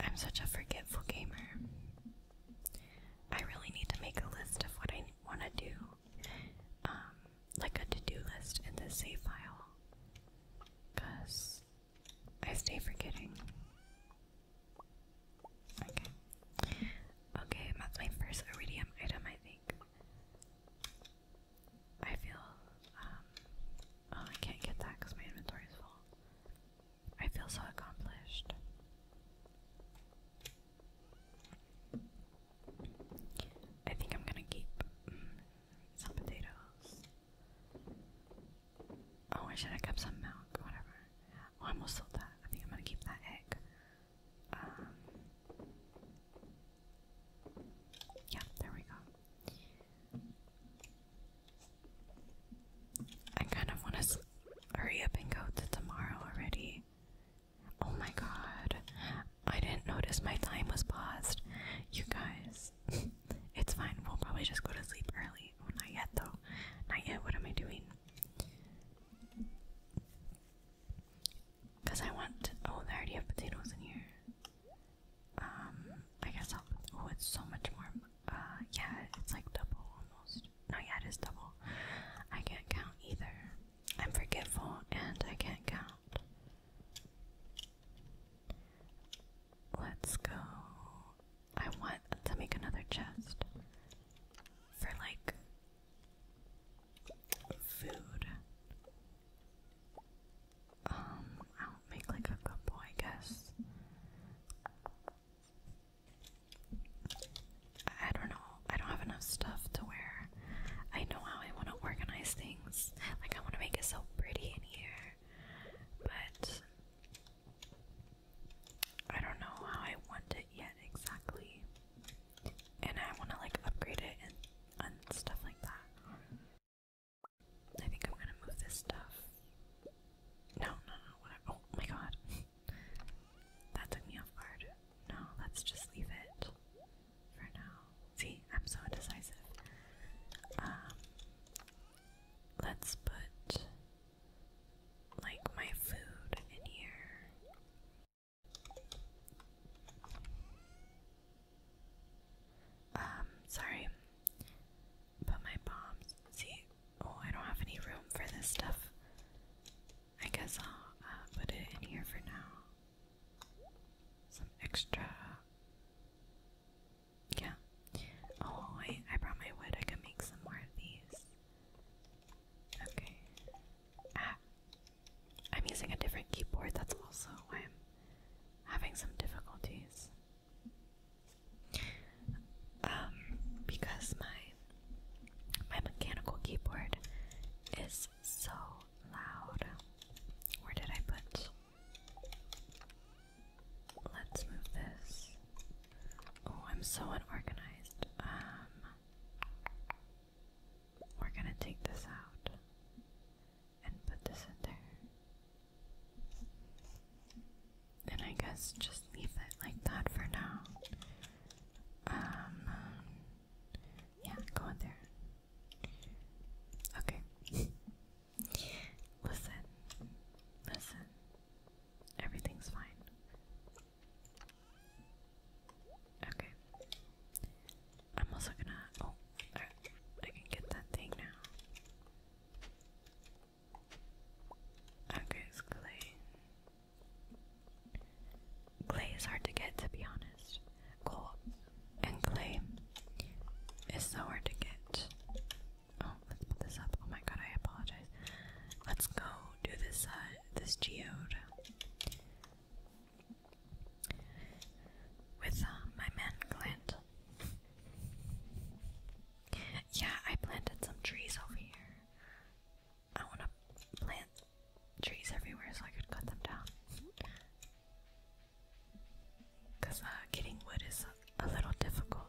I'm such a forgetful gamer. I really need to make a list of what I want to do um, like a to-do list in the save file because I stay forgetting. Okay. Okay, that's my first iridium item, I think. I feel, um, oh, I can't get that because my inventory is full. I feel so accomplished. I think I'm gonna keep mm, some potatoes. Oh, I should have kept some milk, whatever. Oh, I almost sold that. I think I'm gonna keep that egg. Um, yeah, there we go. I kind of want to hurry up and go to tomorrow already. Oh my god. I didn't notice my time was paused. You guys, it's fine. We'll probably just go to sleep early. Oh, not yet, though. Not yet. What am I doing? Because I want. Oh, there. I already have potatoes in here. Um, I guess I'll. Oh, it's so much more. Uh, yeah, it's like double almost just no it is double. I can't count either. I'm forgetful and I can't count. Let's go. I want to make another chest for like food. Um, I'll make like a couple, I guess. I don't know. I don't have enough stuff to wear. I know how I want to organize things. Like, I want to make it so pretty in here. But I don't know how I want it yet exactly. And I want to, like, upgrade it and, stuff like that. I think I'm gonna move this stuff. No, no, no, whatever. Oh my god. That took me off guard. No, let's just leave it for now. See, I'm so indecisive. Um, let's put like my food in here. Um, sorry. But my bombs. See, oh, I don't have any room for this stuff. I guess I'll uh, put it in here for now. Some extra. Yeah. Oh, I, I brought my wood. I can make some more of these. Okay. Ah, I'm using a different keyboard. That's also why I'm having some difficulties. Um, because my my mechanical keyboard is so loud. Where did I put? Let's move this. Oh, I'm so unorganized. Um We're going to take this out and put this in there. And I guess just leave it like that for now. Um, yeah, go in there. Okay. listen, listen. Everything's fine. Okay. I'm also gonna. Oh, I can get that thing now. Okay, it's clay. Clay is hard to get, to be honest. Coal and clay is so hard to get. Oh, let's put this up. Oh my god, I apologize. Let's go do this, uh, this geode. With uh, my man Clint. Yeah, I planted some trees over here. I want to plant trees everywhere so I could cut them down. Because uh, getting wood is a, little difficult.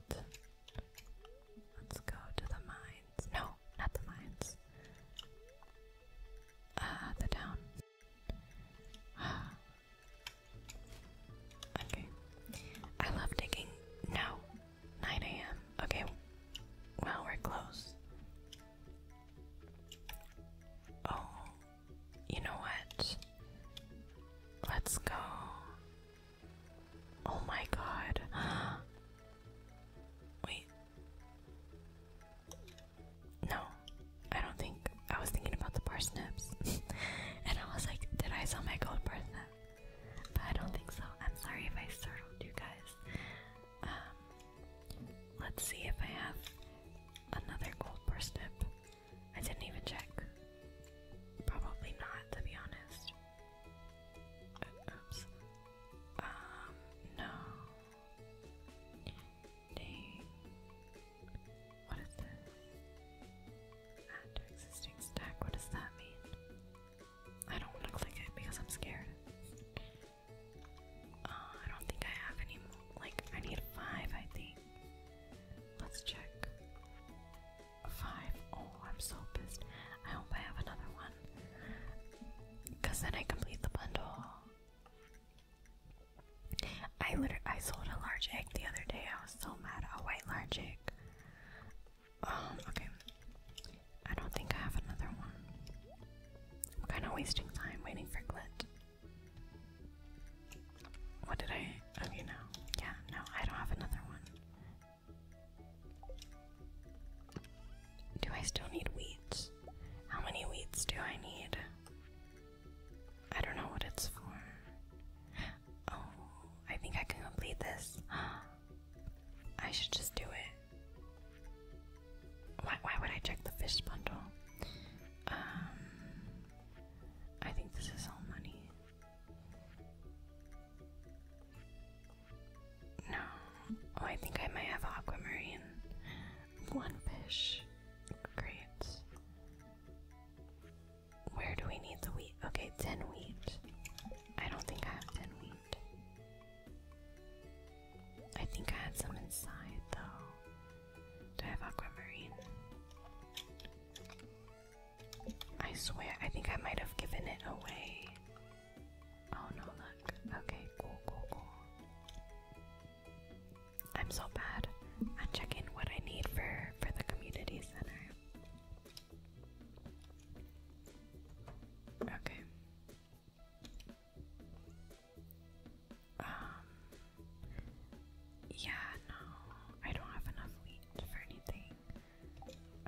Let's go to the mines. No, not the mines. Uh, the town. okay. I love digging. No. 9 a.m. Okay. Well, we're close. Oh, you know what? Let's go. Oh my god. Wait. No, I don't think. I was thinking about the parsnips. and I was like, did I sell my gold parsnip? I don't think so. I'm sorry if I startled you guys. Um, let's see if I have another gold burst tip. I didn't even check. Probably not, to be honest. Uh, oops. Um, no. Dang. What is this? Add to existing stack. What does that mean? I don't want to click it because I'm scared. Uh, I don't think I have any Like, I need five, I think. Let's check. Five. Oh, I'm so pissed. I hope I have another one. Because then I complete the bundle. I literally I sold a large egg the other day. I was so mad. A white large egg. Um, okay. I don't think I have another one. I'm kind of wasting time waiting for Glit. What did I? Oh, you know. Yeah, no, I don't have another one. Do I still need weeds? How many weeds do I need? I don't know what it's for. Oh, I think I can complete this. I should just do it. Why, would I check the fish bundle? Um, I think this is all money. No. Oh, I think I might have aquamarine. One fish. Great. Where do we need the wheat? Okay, 10 wheat. I don't think I have 10 wheat. I think I had some inside though. Do I have aquamarine? I swear, I think I might have given it away. Oh no, look. Okay, cool, cool, cool. I'm so bad at checking what I need for, for the community center. Okay. Um, yeah, no, I don't have enough wheat for anything.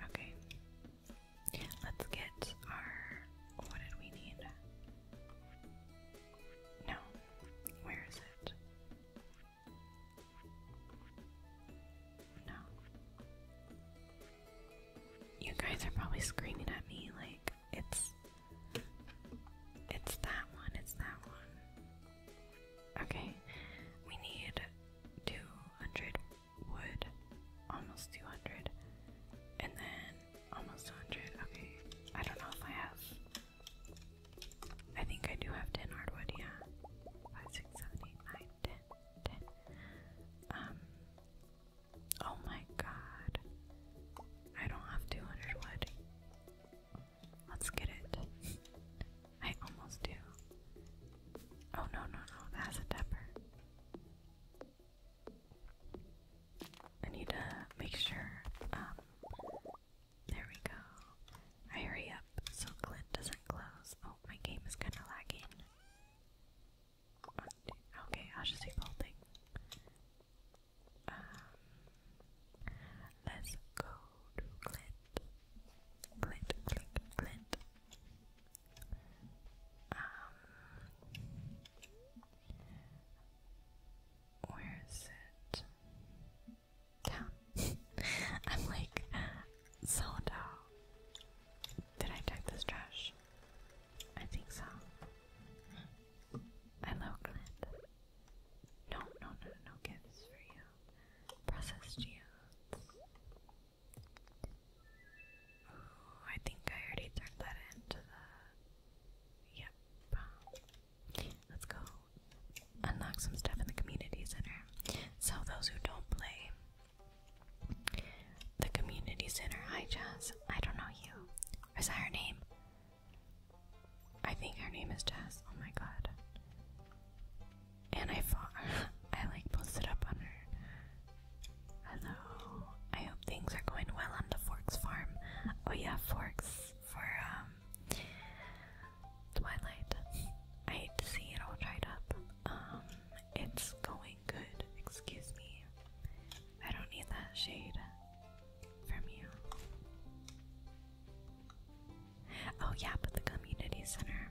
Okay, let's get our. What did we need? No, where is it? No. You guys are probably screaming at me like it's it's that one, it's that one. Okay. We need 200 wood, almost 200. And then almost 100. Okay. I don't know if I have I think I do have 10 hardwood, yeah. 5, Um, Oh my god. I don't have 200 Let's get it. I almost do. Oh no, no, no. That's pepper. I need to make sure. Um, there we go. I hurry up so Clint doesn't close. Oh, my game is kind of lagging. Okay, I'll just do folding. Um, let's go to Clint. Clint, Clint, Clint. Um, where is it? Down. I'm like zoned out. Did I check this trash? I think so. I love Clint. No, no, no, no gifts for you. Processed geodes. Ooh, I think I already turned that into the. Yep. Let's go unlock some stuff in the community center. So, those who don't play, the community center. Hi, Jazz. I don't know you. Is that her name? I think her name is Jazz. Oh my god. And I thought I like posted up on her. Hello. I hope things are going well on the Forks farm. Oh yeah, Forks for um, Twilight. I hate to see it all tied up. Um, it's going good. Excuse me. I don't need that shade from you. Oh, yeah, but the community center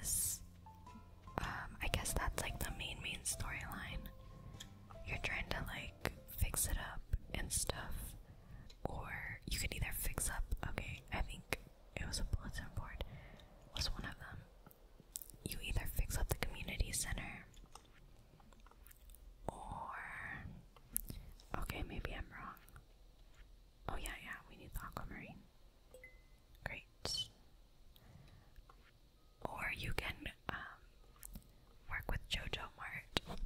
is. Um, I guess that's like the main, main storyline. You're trying to like fix it up and stuff, or you could either fix up. Okay, I think it was a bulletin board, was one of them you either fix up the community center or okay, maybe I'm wrong. Oh yeah, yeah, we need the aquamarine. Great. Or you can um, work with JoJo Mart.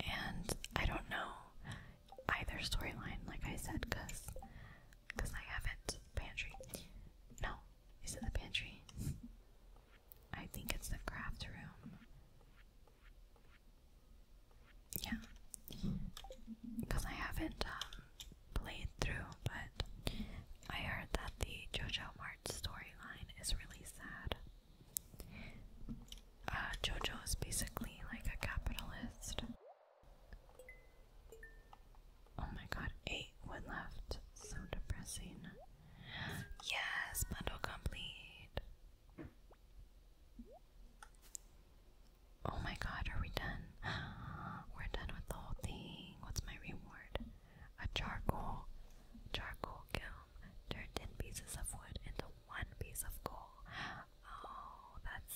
And I don't know either storyline, like I said, because because I haven't. Pantry. No. Is it the pantry? I think it's the craft room. Yeah. Because I haven't um, played through, but I heard that the JoJo Mart storyline is really sad. Uh, JoJo is basically like a capitalist Oh my god, eight wood left. So depressing. Yes, bundle complete. Oh my god, are we done? We're done with the whole thing. What's my reward? A charcoal. Charcoal kiln turned 10 pieces of wood into one piece of coal. Oh, that's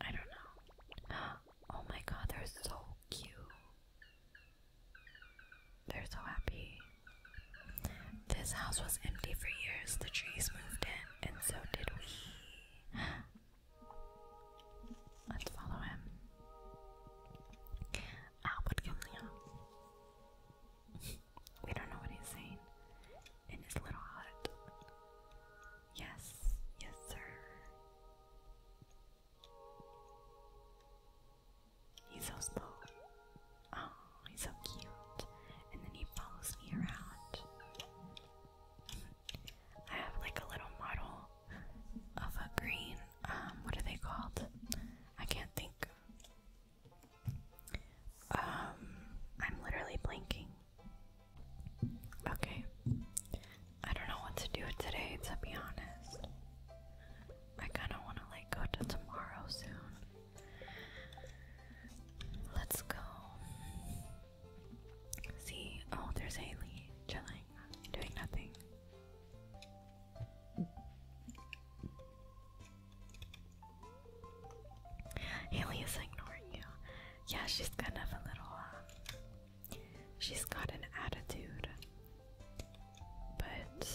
I don't know. Oh my god, they're so cute. They're so happy. This house was empty for years. The trees moved in, and so did we. Let's follow him. Albert Gimlia. we don't know what he's saying in his little hut. Yes, yes, sir. He's so slow. Oh, he's so cute. And then he follows me around. I have like a little model of a green, um, what are they called? I can't think. Um, I'm literally blinking. Okay. I don't know what to do today, to be honest. I kind of want to like go to tomorrow soon. Let's go. See, oh, there's Haley chilling, doing nothing. Haley is ignoring you. Yeah, she's kind of a little uh, She's got an attitude. But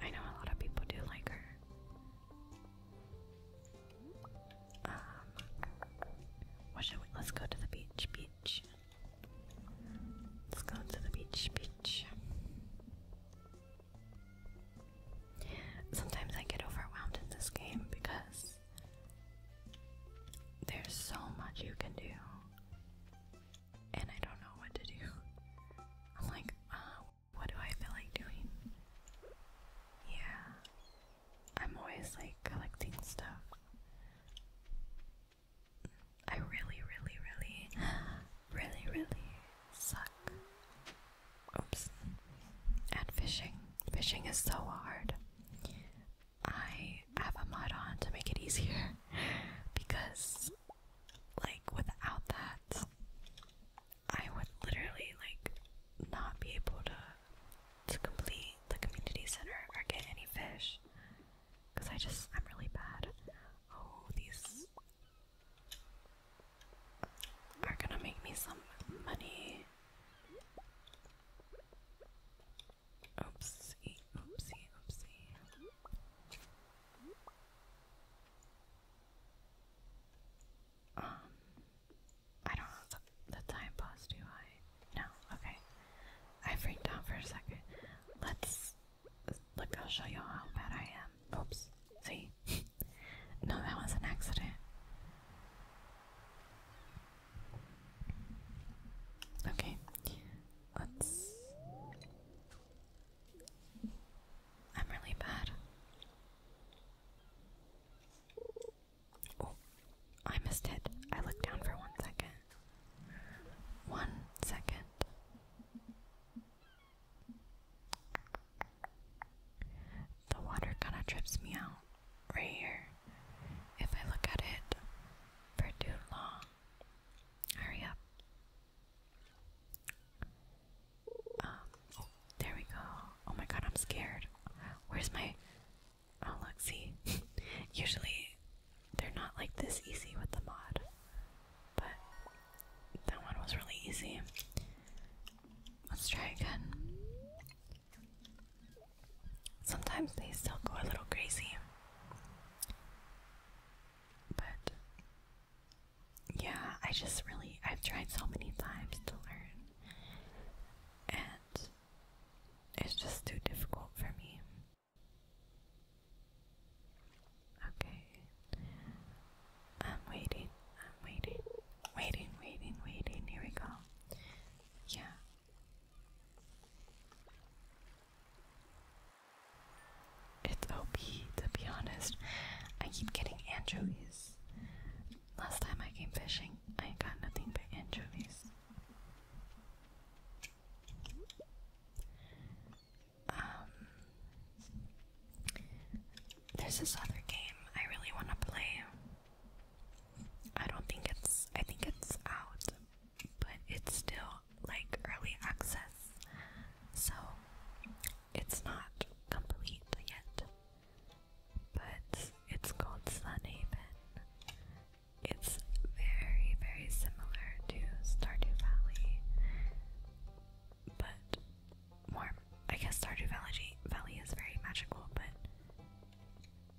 I know a lot of people do like her. Um what should we let's go to the beach, beach. Let's go to the beach, beach. Sometimes I get overwhelmed in this game because there's so much you can do, and I don't know what to do. I'm like, uh, what do I feel like doing? Yeah, I'm always like collecting stuff. I really, really, really, really, really suck. Oops. At fishing. Fishing is so hard. I have a mod on to make it easier because, like, without that, I would literally like not be able to to complete the community center or get any fish because I just I'm really bad. Oh, these are gonna make me some money. Oopsie, oopsie, oopsie. Um, I don't have the, time pause, do I? No, okay. I freaked out for a second. Let's look, I'll show you how bad I am. Oops, see? no, that was an accident. Okay, let's. I'm really bad. Oh, I missed it. I looked down for one second. One second. The water kind of trips me out right here. If I look at it for too long, hurry up. Um, oh, there we go. Oh my god, I'm scared. Where's my. Oh, look, see? Usually they're not like this easy with the mod, but that one was really easy. Let's try again. Sometimes they still go a little crazy. But yeah, I just really, I've tried so many times to learn, and it's just too difficult for me. Okay, I'm waiting, I'm waiting, waiting, waiting, waiting. Here we go. Yeah, it's OP, to be honest. I keep getting anchovies. Last time I came fishing, I got nothing but anchovies. Um, there's this other game I really want to play. I don't think it's I think it's out, but it's still like early access. So it's not complete yet. But it's called Sunhaven. It's very, very similar to Stardew Valley. But more I guess Stardew Valley Valley is very magical, but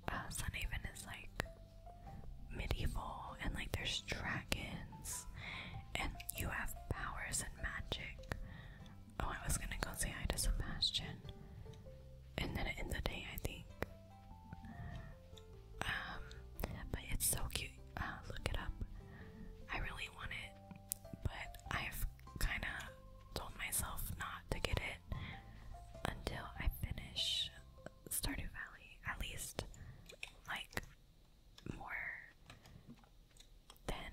uh, is like medieval and like there's dragons and you have powers and magic. Oh, I was gonna go say hi to Sebastian, and then in the day I think. Um, but it's so cute. Uh, look it up. I really want it, but I've kind of told myself not to get it until I finish Stardew Valley, at least like more than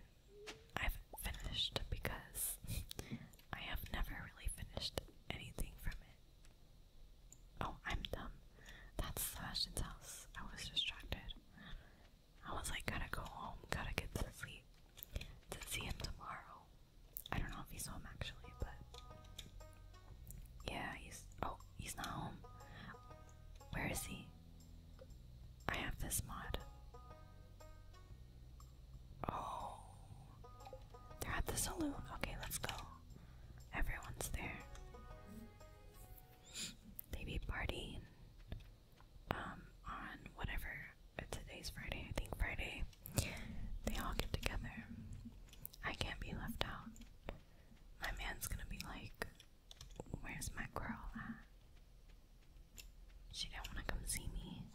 I've finished because I have never really finished anything from it. Oh, I'm dumb. That's Sebastian's house. I was distracted. I was like, gotta go home, gotta get to sleep to see him tomorrow. I don't know if he's home actually, but yeah, he's oh, he's not home. Where is he? I have this mod. Oh, they're at the saloon. Okay, let's go. Everyone's there. They be partying um, on whatever. Today's Friday, I think Friday. They all get together. I can't be left out. My man's gonna be like, Where's my girl She didn't want to come see me.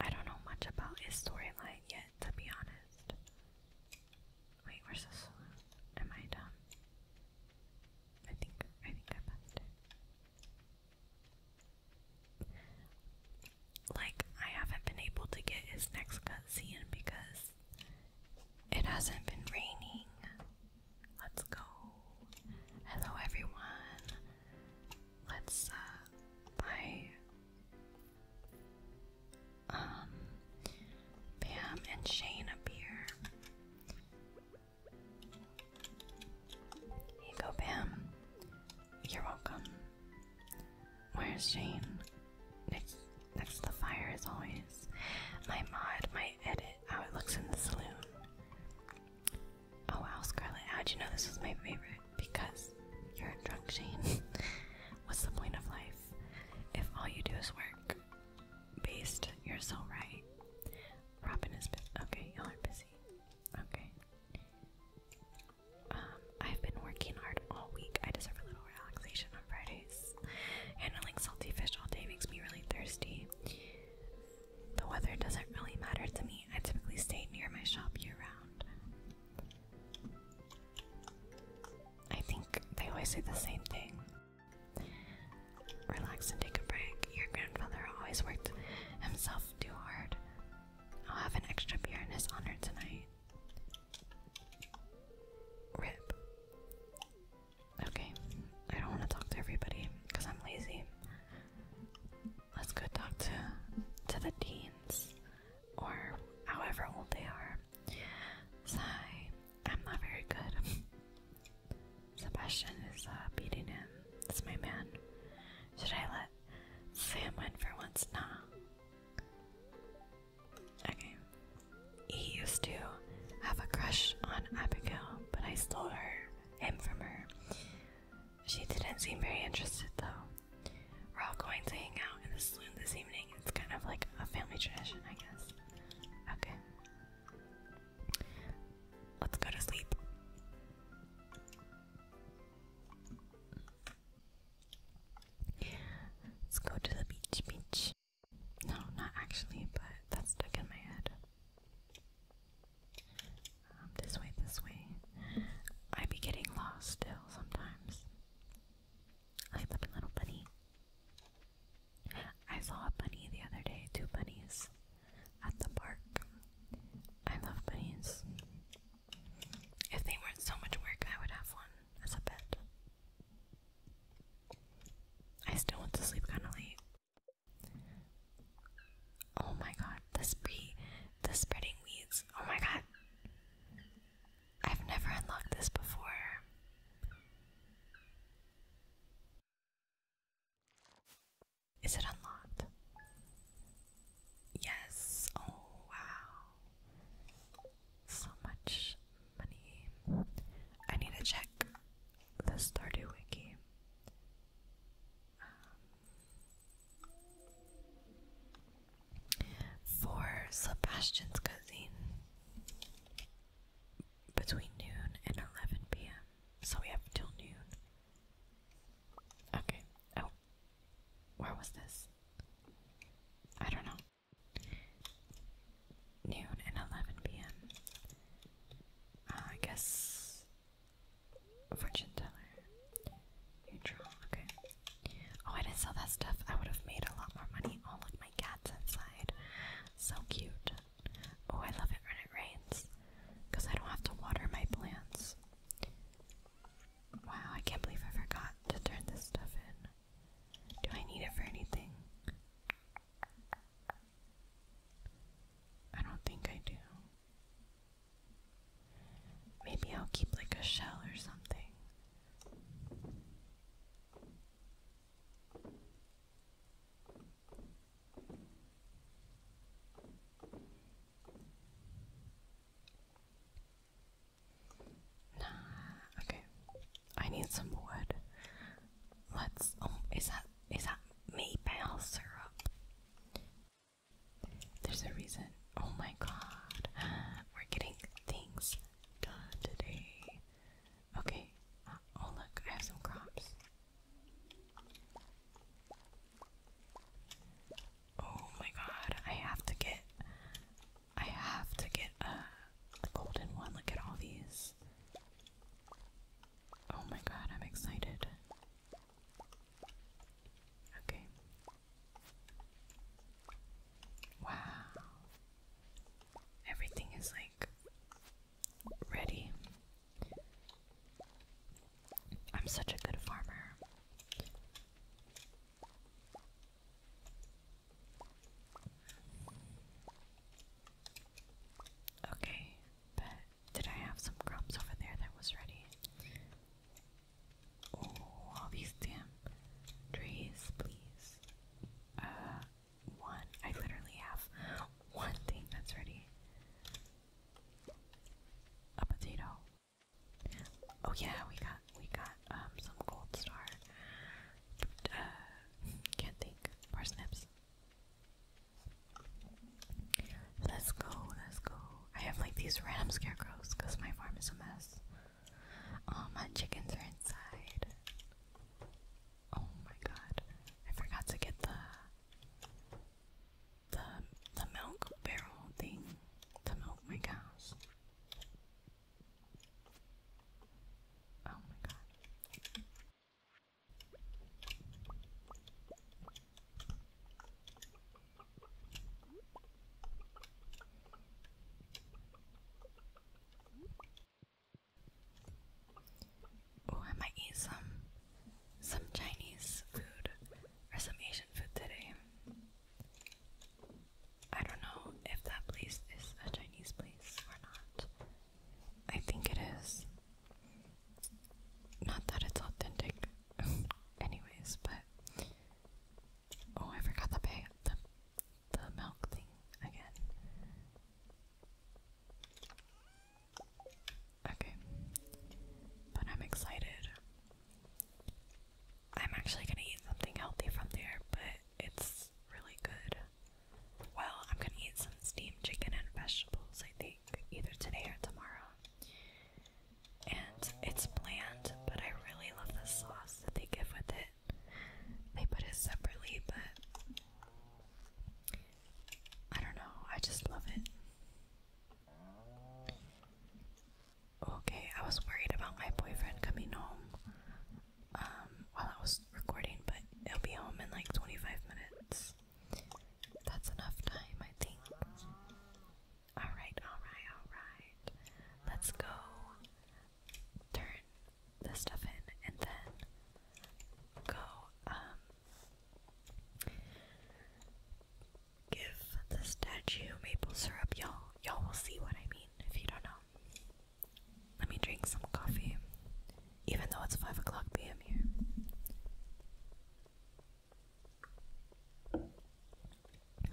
I don't know much about his storyline yet, to be honest. Wait, where's the saloon? Am I dumb? I think I think I passed it. Like, I haven't been able to get his next cutscene because it hasn't been raining. Let's go. Hello, everyone. Let's, uh, buy. Um, Pam and Shane appear. Here you You're welcome. Where's Jane? Next, next to the fire, as always. My mod, my edit, how it looks in the saloon. Oh wow, Scarlet, how'd you know this was my favorite? Because you're a drunk, Jane. What's the point of life if all you do is work? Based, you're so right. Robin is busy. Okay, y'all are busy. Okay. Um, I've been working hard all week. I deserve a little relaxation on Fridays. Handling salty fish all day makes me really thirsty. The weather doesn't really matter to me. I typically stay near my shop year round. I think they always say the same thing. Relax and take a break. Your grandfather always worked himself too hard. I'll have an extra beer in his honor tonight. Rip. Okay, I don't want to talk to everybody because I'm lazy. Let's go talk to to the teens or however old they are. Sigh, I'm not very good. Sebastian is uh, beating him. It's my man. Should I let Sam win for once? Nah. Okay. He used to have a crush on Abigail, but I stole him from her. She didn't seem very interested though. We're all going to hang out in the saloon this evening. It's kind of like a family tradition, I guess. Okay. Let's go to sleep. Let's go to the beach, beach. No, not actually, but that's stuck in my head. Um, this way, this way. I be getting lost still sometimes. I love little bunny. I saw a bunny the other day, two bunnies at the park. I love bunnies. If they weren't so much work, I would have one as a pet. I still want to sleep kind of late. Oh my god, the spree, the spreading weeds. Oh my god. I've never unlocked this before. Is it unlocked? Yes. Oh, wow. So much money. I need to check the Stardew Wiki. Um, for Sebastian's cuisine between noon and 11 p.m. So we have till noon. Okay. Oh. Where was this? I don't know. Noon and 11 p.m. Uh, I guess. Fortune teller. You Okay. Oh, I didn't sell that stuff. I would have made a lot more money. Oh, look, my cat's inside. So cute. Oh, I love it when it rains because I don't have to water my plants. Wow, I can't believe I forgot to turn this stuff in. Do I need it for anything? I don't think I do. Maybe I'll keep like a shell or something okay. I need some wood. Let's. Oh, is that is that maple syrup? There's a reason. Oh my god, we're getting things done today. Okay. Uh, oh look, I have some crops. Oh my god, I have to get I have to get a, golden one. Look at all these. Oh my god, I'm excited. Okay. Wow. Everything is like ready. I'm such a good farmer. Okay, but did I have some crops over there that was ready? Oh, all these damn trees, please. Uh, one. I literally have one thing that's ready a potato. Oh yeah, we got we got um some gold star. Uh, can't think. Parsnips. Let's go, let's go. I have like these random scarecrows because my farm is a mess. All my chickens are inside. Oh my god. I forgot to get the the the milk barrel thing to milk my cows. Oh my god. Oh, I might some some Chinese food or some Asian food today. I don't know if that place is a Chinese place or not. I think it is. Not that it's authentic, anyways, but. Oh, I forgot the bag, the, the milk thing again. Okay. But I'm excited. I'm actually gonna eat something healthy from there, but it's really good. Well, I'm gonna eat some steamed chicken and vegetables, I think, either today or tomorrow. And it's bland, but I really love the sauce that they give with it. They put it separately, but I don't know, I just love it. Okay, I was worried about my boyfriend coming home um, while I was recording, but he'll be home in like 25 minutes. That's enough time, I think. Alright, alright, alright. Let's go turn this stuff in and then go um, Give the statue maple syrup, y'all. Y'all will see what I mean if you don't know. Let me drink some coffee, even though it's 5 o'clock p.m. here.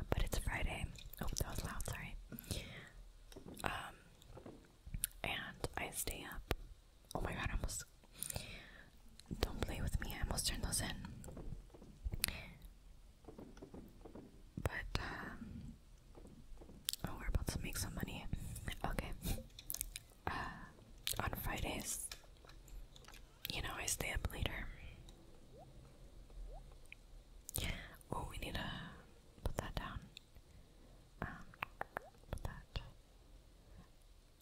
But it's Friday. Oh, that was loud, sorry. Um, and I stay up. Oh my god, I almost don't play with me, I almost turned those in. But, um, oh, we're about to make some money. Okay. Uh, on Fridays, you know, I stay up later. Oh, we need to put that down. Um, put that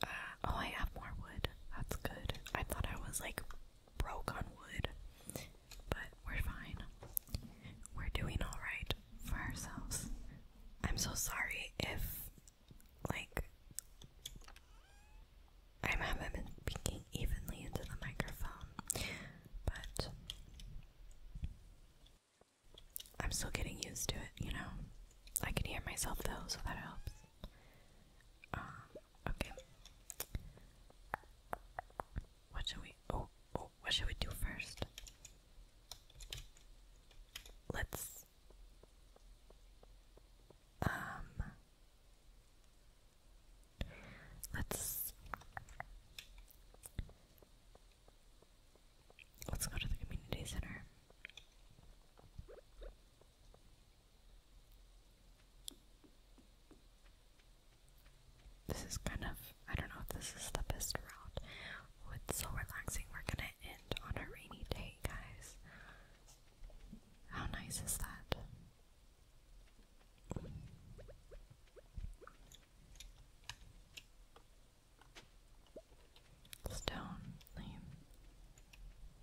oh, I have more wood. That's good. I thought I was like broke on wood, but we're fine. We're doing alright for ourselves. I'm so sorry if, like, I haven't been speaking evenly into the microphone, but I'm still getting used to it, you know? I can hear myself though, so that helps. Um, okay. What should we oh oh what should we do first? Let's um let's let's go to the community center. This is kind of, I don't know if this is the best route. Oh, so relaxing. We're gonna end on a rainy day, guys. How nice is that? Stone, lame.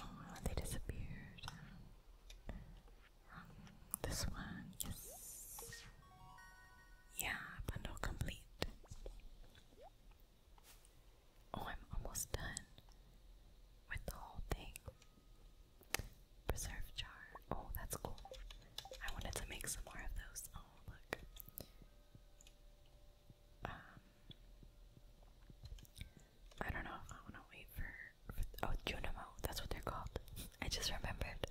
Oh, they disappeared. this one, yes. Yeah, bundle complete. Oh, I'm almost done with the whole thing. Preserve jar. Oh, that's cool. I wanted to make some more of those. Oh, look. Um, I don't know. I want to wait for, oh Junimo. That's what they're called. I just remembered.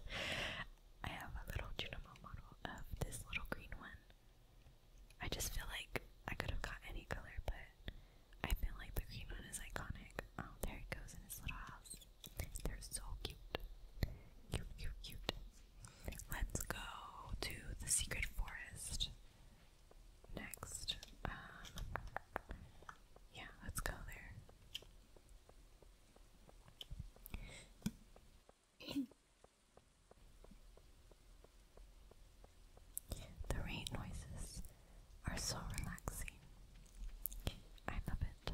I have a little Junimo model of this little green one. I just feel like I could have got any color, but I feel like the green one is iconic. Oh, there it goes in his little house. They're so cute. Cute, cute, cute. Let's go to the secret forest next. Um, yeah, let's go there. the rain noises are so relaxing. I love it.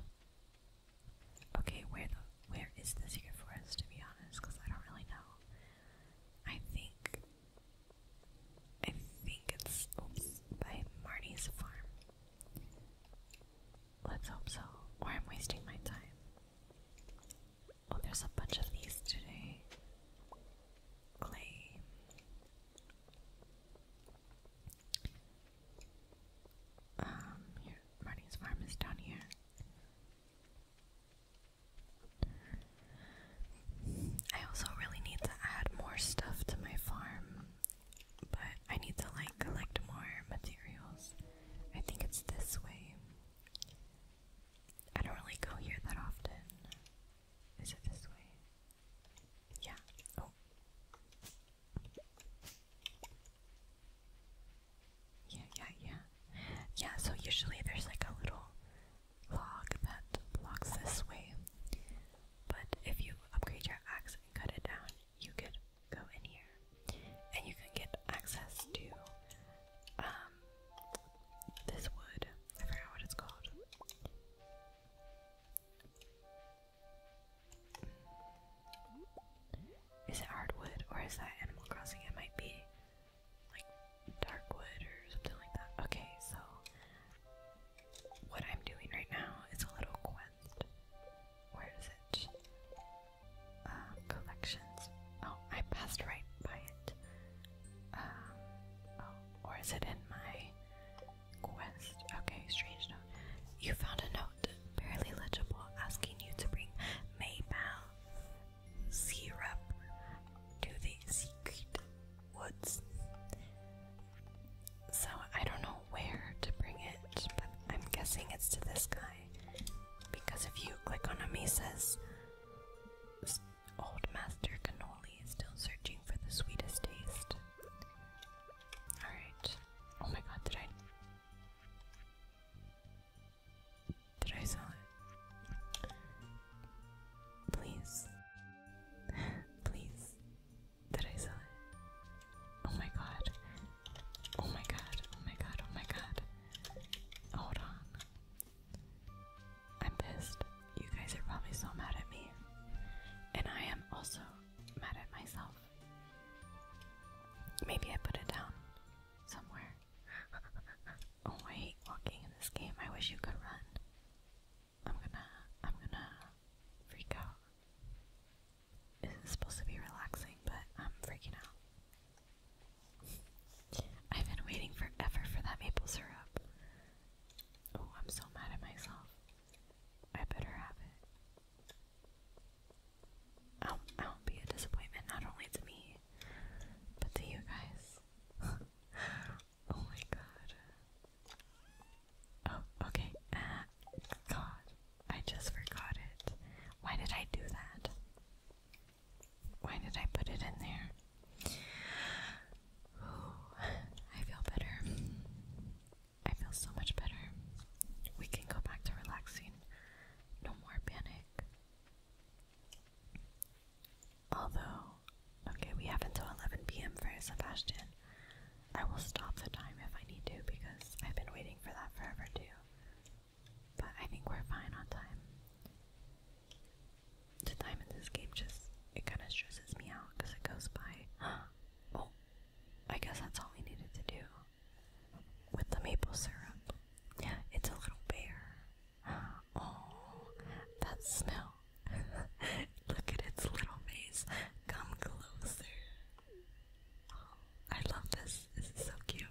Okay, where the where is the secret forest to be honest? Because I don't really know. I think I think it's by Marty's farm. Let's hope so, or I'm wasting my time. Oh, there's a bunch of these today. Clay. Um, Marty's farm is down here. I also really need to add more stuff to my farm, but I need to like collect more materials. I think it's this way. I don't really go here that often. Is it this way? Yeah. Oh. Yeah, yeah, yeah. Yeah, so usually there's like a little log that blocks this way. But if you upgrade your axe and cut it down, you could go in here and you can get access to um this wood. I forgot what it's called. Is it hardwood or is that Animal Crossing? It might be like dark wood or something like that. Okay, so what I'm doing right now is a little quest. Where is it? Uh, collections. Oh, I passed right by it. Um, oh, or is it in my quest? Okay, strange note. You found a note, barely legible, asking you to bring Maybell syrup to the secret woods. So I don't know where to bring it, but I'm guessing it's to this guy. Because if you click on him, he says, Old Master Cannoli is still searching for the sweetest taste. Alright. Oh my god, did I. Did I sell it? Please. Please. Did I sell it? Oh my god. Oh my god. Oh my god. Oh my god. Hold on. I'm pissed. You guys are probably so mad at me. And I am also mad at myself. Maybe I put it down somewhere oh, I hate walking in this game. I wish you could run. I'm gonna, I'm gonna freak out. This is supposed to be relaxing, but I'm freaking out. I've been waiting forever for that maple syrup. Oh, I'm so mad at myself. I better have it. I'll, I'll be a disappointment not only to me, but to you guys. oh my god. Oh, okay. Uh, god. I just forgot it. Why did I do that? Why did I put it in there? I feel better. I feel so much better. We can go back to relaxing. No more panic. Although, okay, we have until 11 p.m. for Sebastian. I will stop the time if I need to because I've been waiting for that forever too. But I think we're fine on time. The time in this game just, it kind of stresses me out because it goes by. oh, I guess that's all we needed to do with the maple syrup. Yeah, It's a little bare. Oh, that smell. Look at its little face. Come closer. I love this. This is so cute.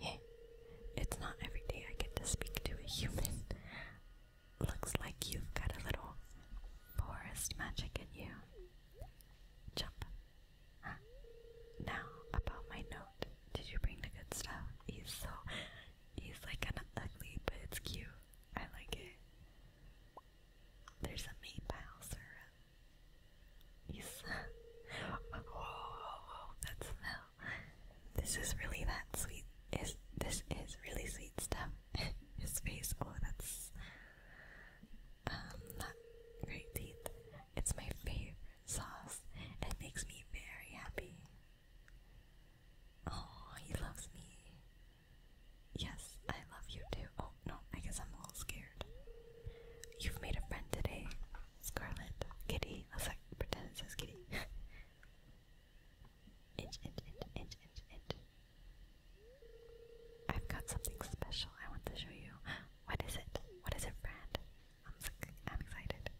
Hey, it's not every day I get to speak to a human. Looks like you've got a little forest magic in you. Jump, Ah, now about my note. Did you bring the good stuff? He's so he's like kinda ugly, but it's cute. I like it. There's a meat pile, sir. He's whoa, that smell. This is really that sweet. Is this is really sweet stuff? His face. Oh, that's um, great teeth. It's my favorite sauce. It makes me very happy. Oh, he loves me. Yes, I love you too. Oh, no, I guess I'm a little scared. You've made a friend today, Scarlet. Kitty. Let's oh, pretend it says kitty. inch, inch, inch, inch, inch, inch. I've got something special I want to show you. What is it? What is it, friend? I'm, I'm excited.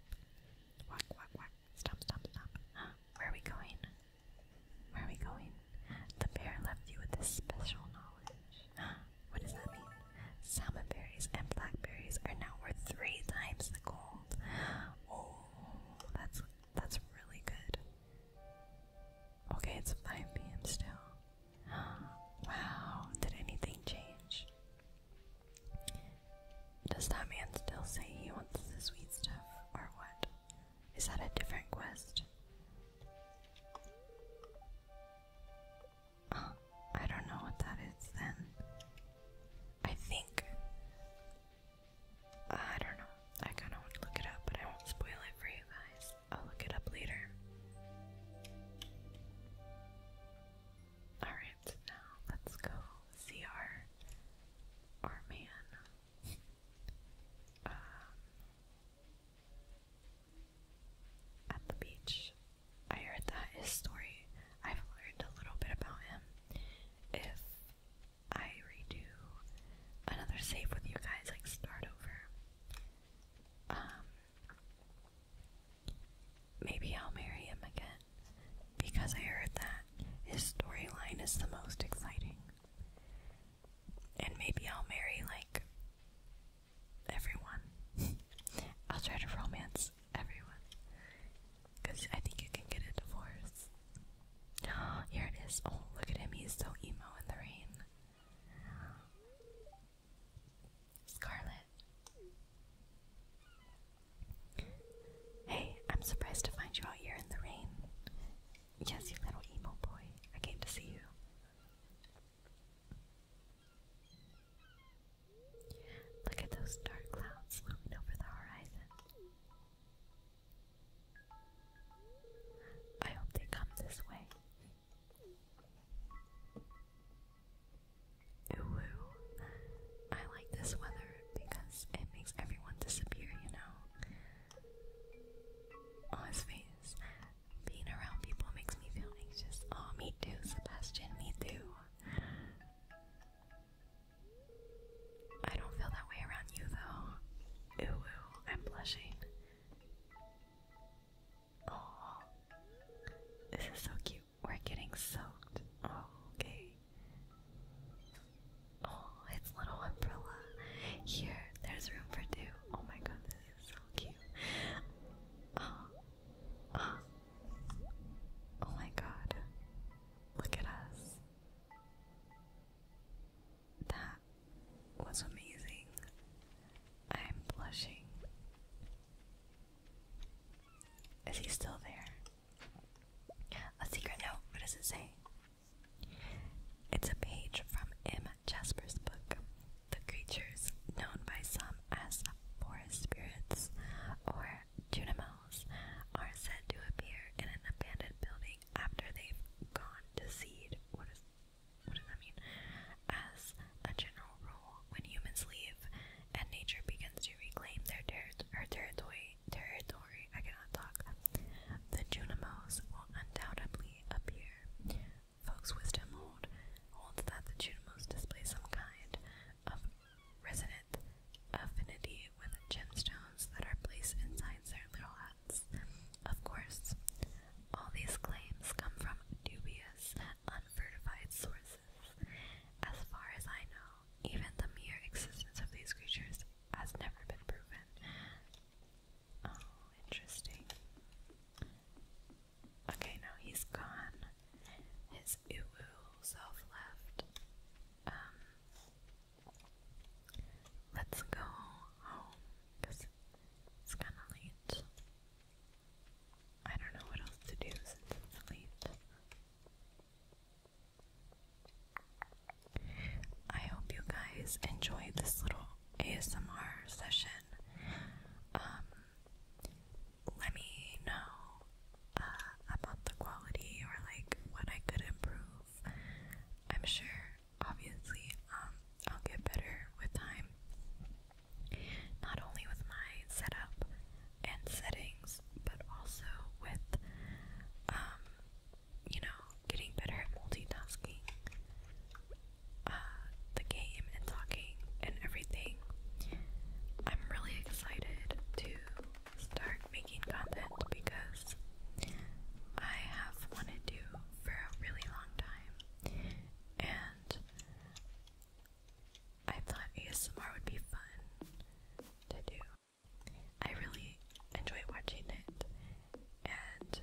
Walk, walk, walk. Stop, stop, stop. Where are we going? Where are we going? The bear left you with this special knowledge. What does that mean? Salmonberries and blackberries are now worth three times the gold. Oh, that's that's really good. Okay, it's 5 p.m. still. Wow, did anything change? Does that man still say he wants the sweet stuff, or what? Is that a different quest? I don't know what that is then. I think. I don't know. I kind of want to look it up, but I won't spoil it for you guys. I'll look it up later. Alright, now let's go see our, our man. Um, at the beach. I heard that his story, I've learned a little bit about him. If I redo another save with you guys, like start over, um, maybe I'll marry him again because I heard that his storyline is the most exciting. And maybe I'll marry like everyone. I'll try to romance everyone because I think you can get a divorce. here it is. Oh, look at him. He's so emo in the rain. Scarlet. Hey, I'm surprised to find you out here in the rain. Yes, you little emo boy. I came to see you. Look at those dark clouds looming over the horizon. I hope they come this way. Ooh, I like this weather because it makes everyone disappear, you know? Oh, his face. Being around people makes me feel anxious. Oh, me too, Sebastian, me too. I don't feel that way around you, though. ooh I'm blushing. Oh, this is so cute. We're getting soaked. okay. Oh, it's little umbrella. Here, there's room for two. Oh my god, this is so cute. Oh, oh, oh my god. Look at us. That that amazing. I'm blushing. Is he still there? A secret note. What does it say? It's a page from M. Jasper's book. The creatures known by some as forest spirits or junimals are said to appear in an abandoned building after they've gone to seed. What is what does that mean? As a general rule, when humans leave and nature begins to reclaim their ter her territory, territory, I cannot talk, the Junimos will undoubtedly appear. Folks' wisdom hold, holds that the Junimos display some kind of resonant affinity with gemstones that are placed inside their little huts. Of course, all these claims come from dubious and sources. As far as I know, even the mere existence of these creatures has never been proven. Oh, interesting. Okay, now he's gone. His uwu self left. Um, let's go home because it's kind of late. I don't know what else to do since it's late. I hope you guys enjoyed this little ASMR session. Um, let me know uh, about the quality or like what I could improve. I'm sure, obviously, um, I'll get better with time. Not only with my setup and settings, but also with, um, you know, getting better at multitasking, uh, the game and talking and everything. I'm really excited to start making content because I have wanted to for a really long time. And I thought ASMR would be fun to do. I really enjoy watching it, and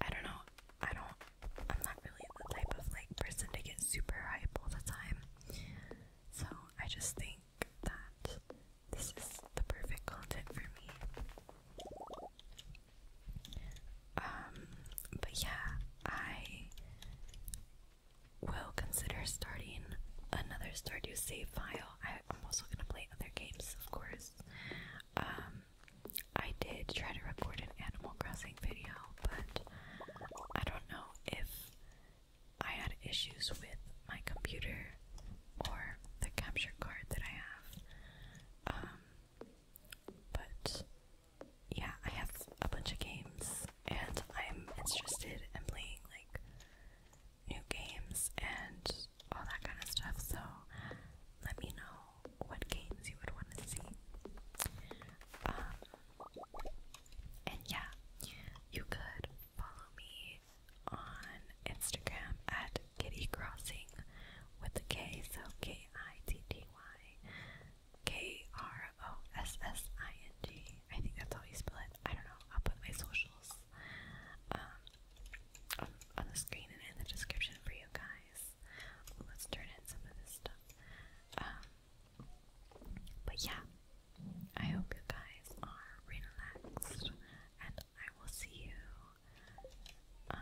I don't know, I don't, I'm not really the type of like person to get super hype all the time. So I just think that this is the perfect content for me. Um, but yeah, I will consider starting another Stardew save file. I, am also gonna play other games, of course. Um, I did try to record an Animal Crossing video, but I don't know if I had issues with my computer or the capture card that I have. Um, but yeah, I have a bunch of games and I'm interested in playing like new games and all that kind of stuff, so let me know what games you would want to see. Um, and yeah, you could follow me on Instagram at Kitty Crossing with a K, so K I T T Y K R O S S I N G. I think that's how you spell it. I don't know. I'll put my socials um, on, on the screen and in the description for you guys. Let's turn in some of this stuff. Um, but yeah, I hope you guys are relaxed, and I will see you um,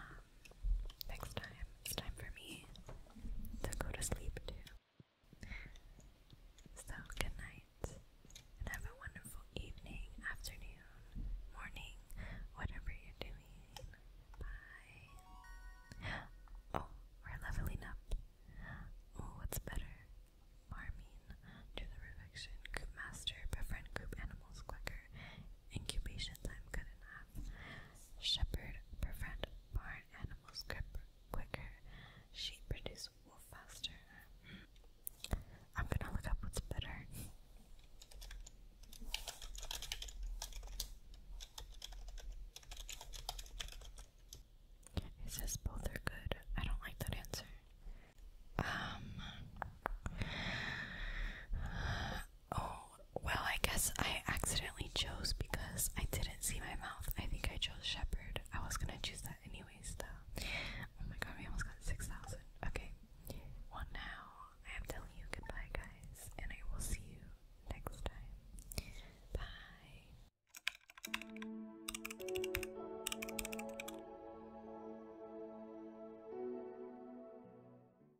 next time it's time for me to go to sleep too. So, good night, and have a wonderful evening, afternoon, morning, whatever you're doing. Bye. Oh, we leveling up. Oh, what's better? Farming, do the perfection, group master, befriend group animals quicker, incubation time good enough. Shepherd befriend barn animals quicker. Sheep produce wool faster. I'm gonna look up what's better. It says both are good. I don't like that answer. Um. oh, well, I guess I accidentally chose because I didn't see my mouth. I think I chose shepherd. I was gonna choose that anyways, though. Oh my god, we almost got 6,000. Okay. Well, now I am telling you goodbye, guys, and I will see you next time. Bye.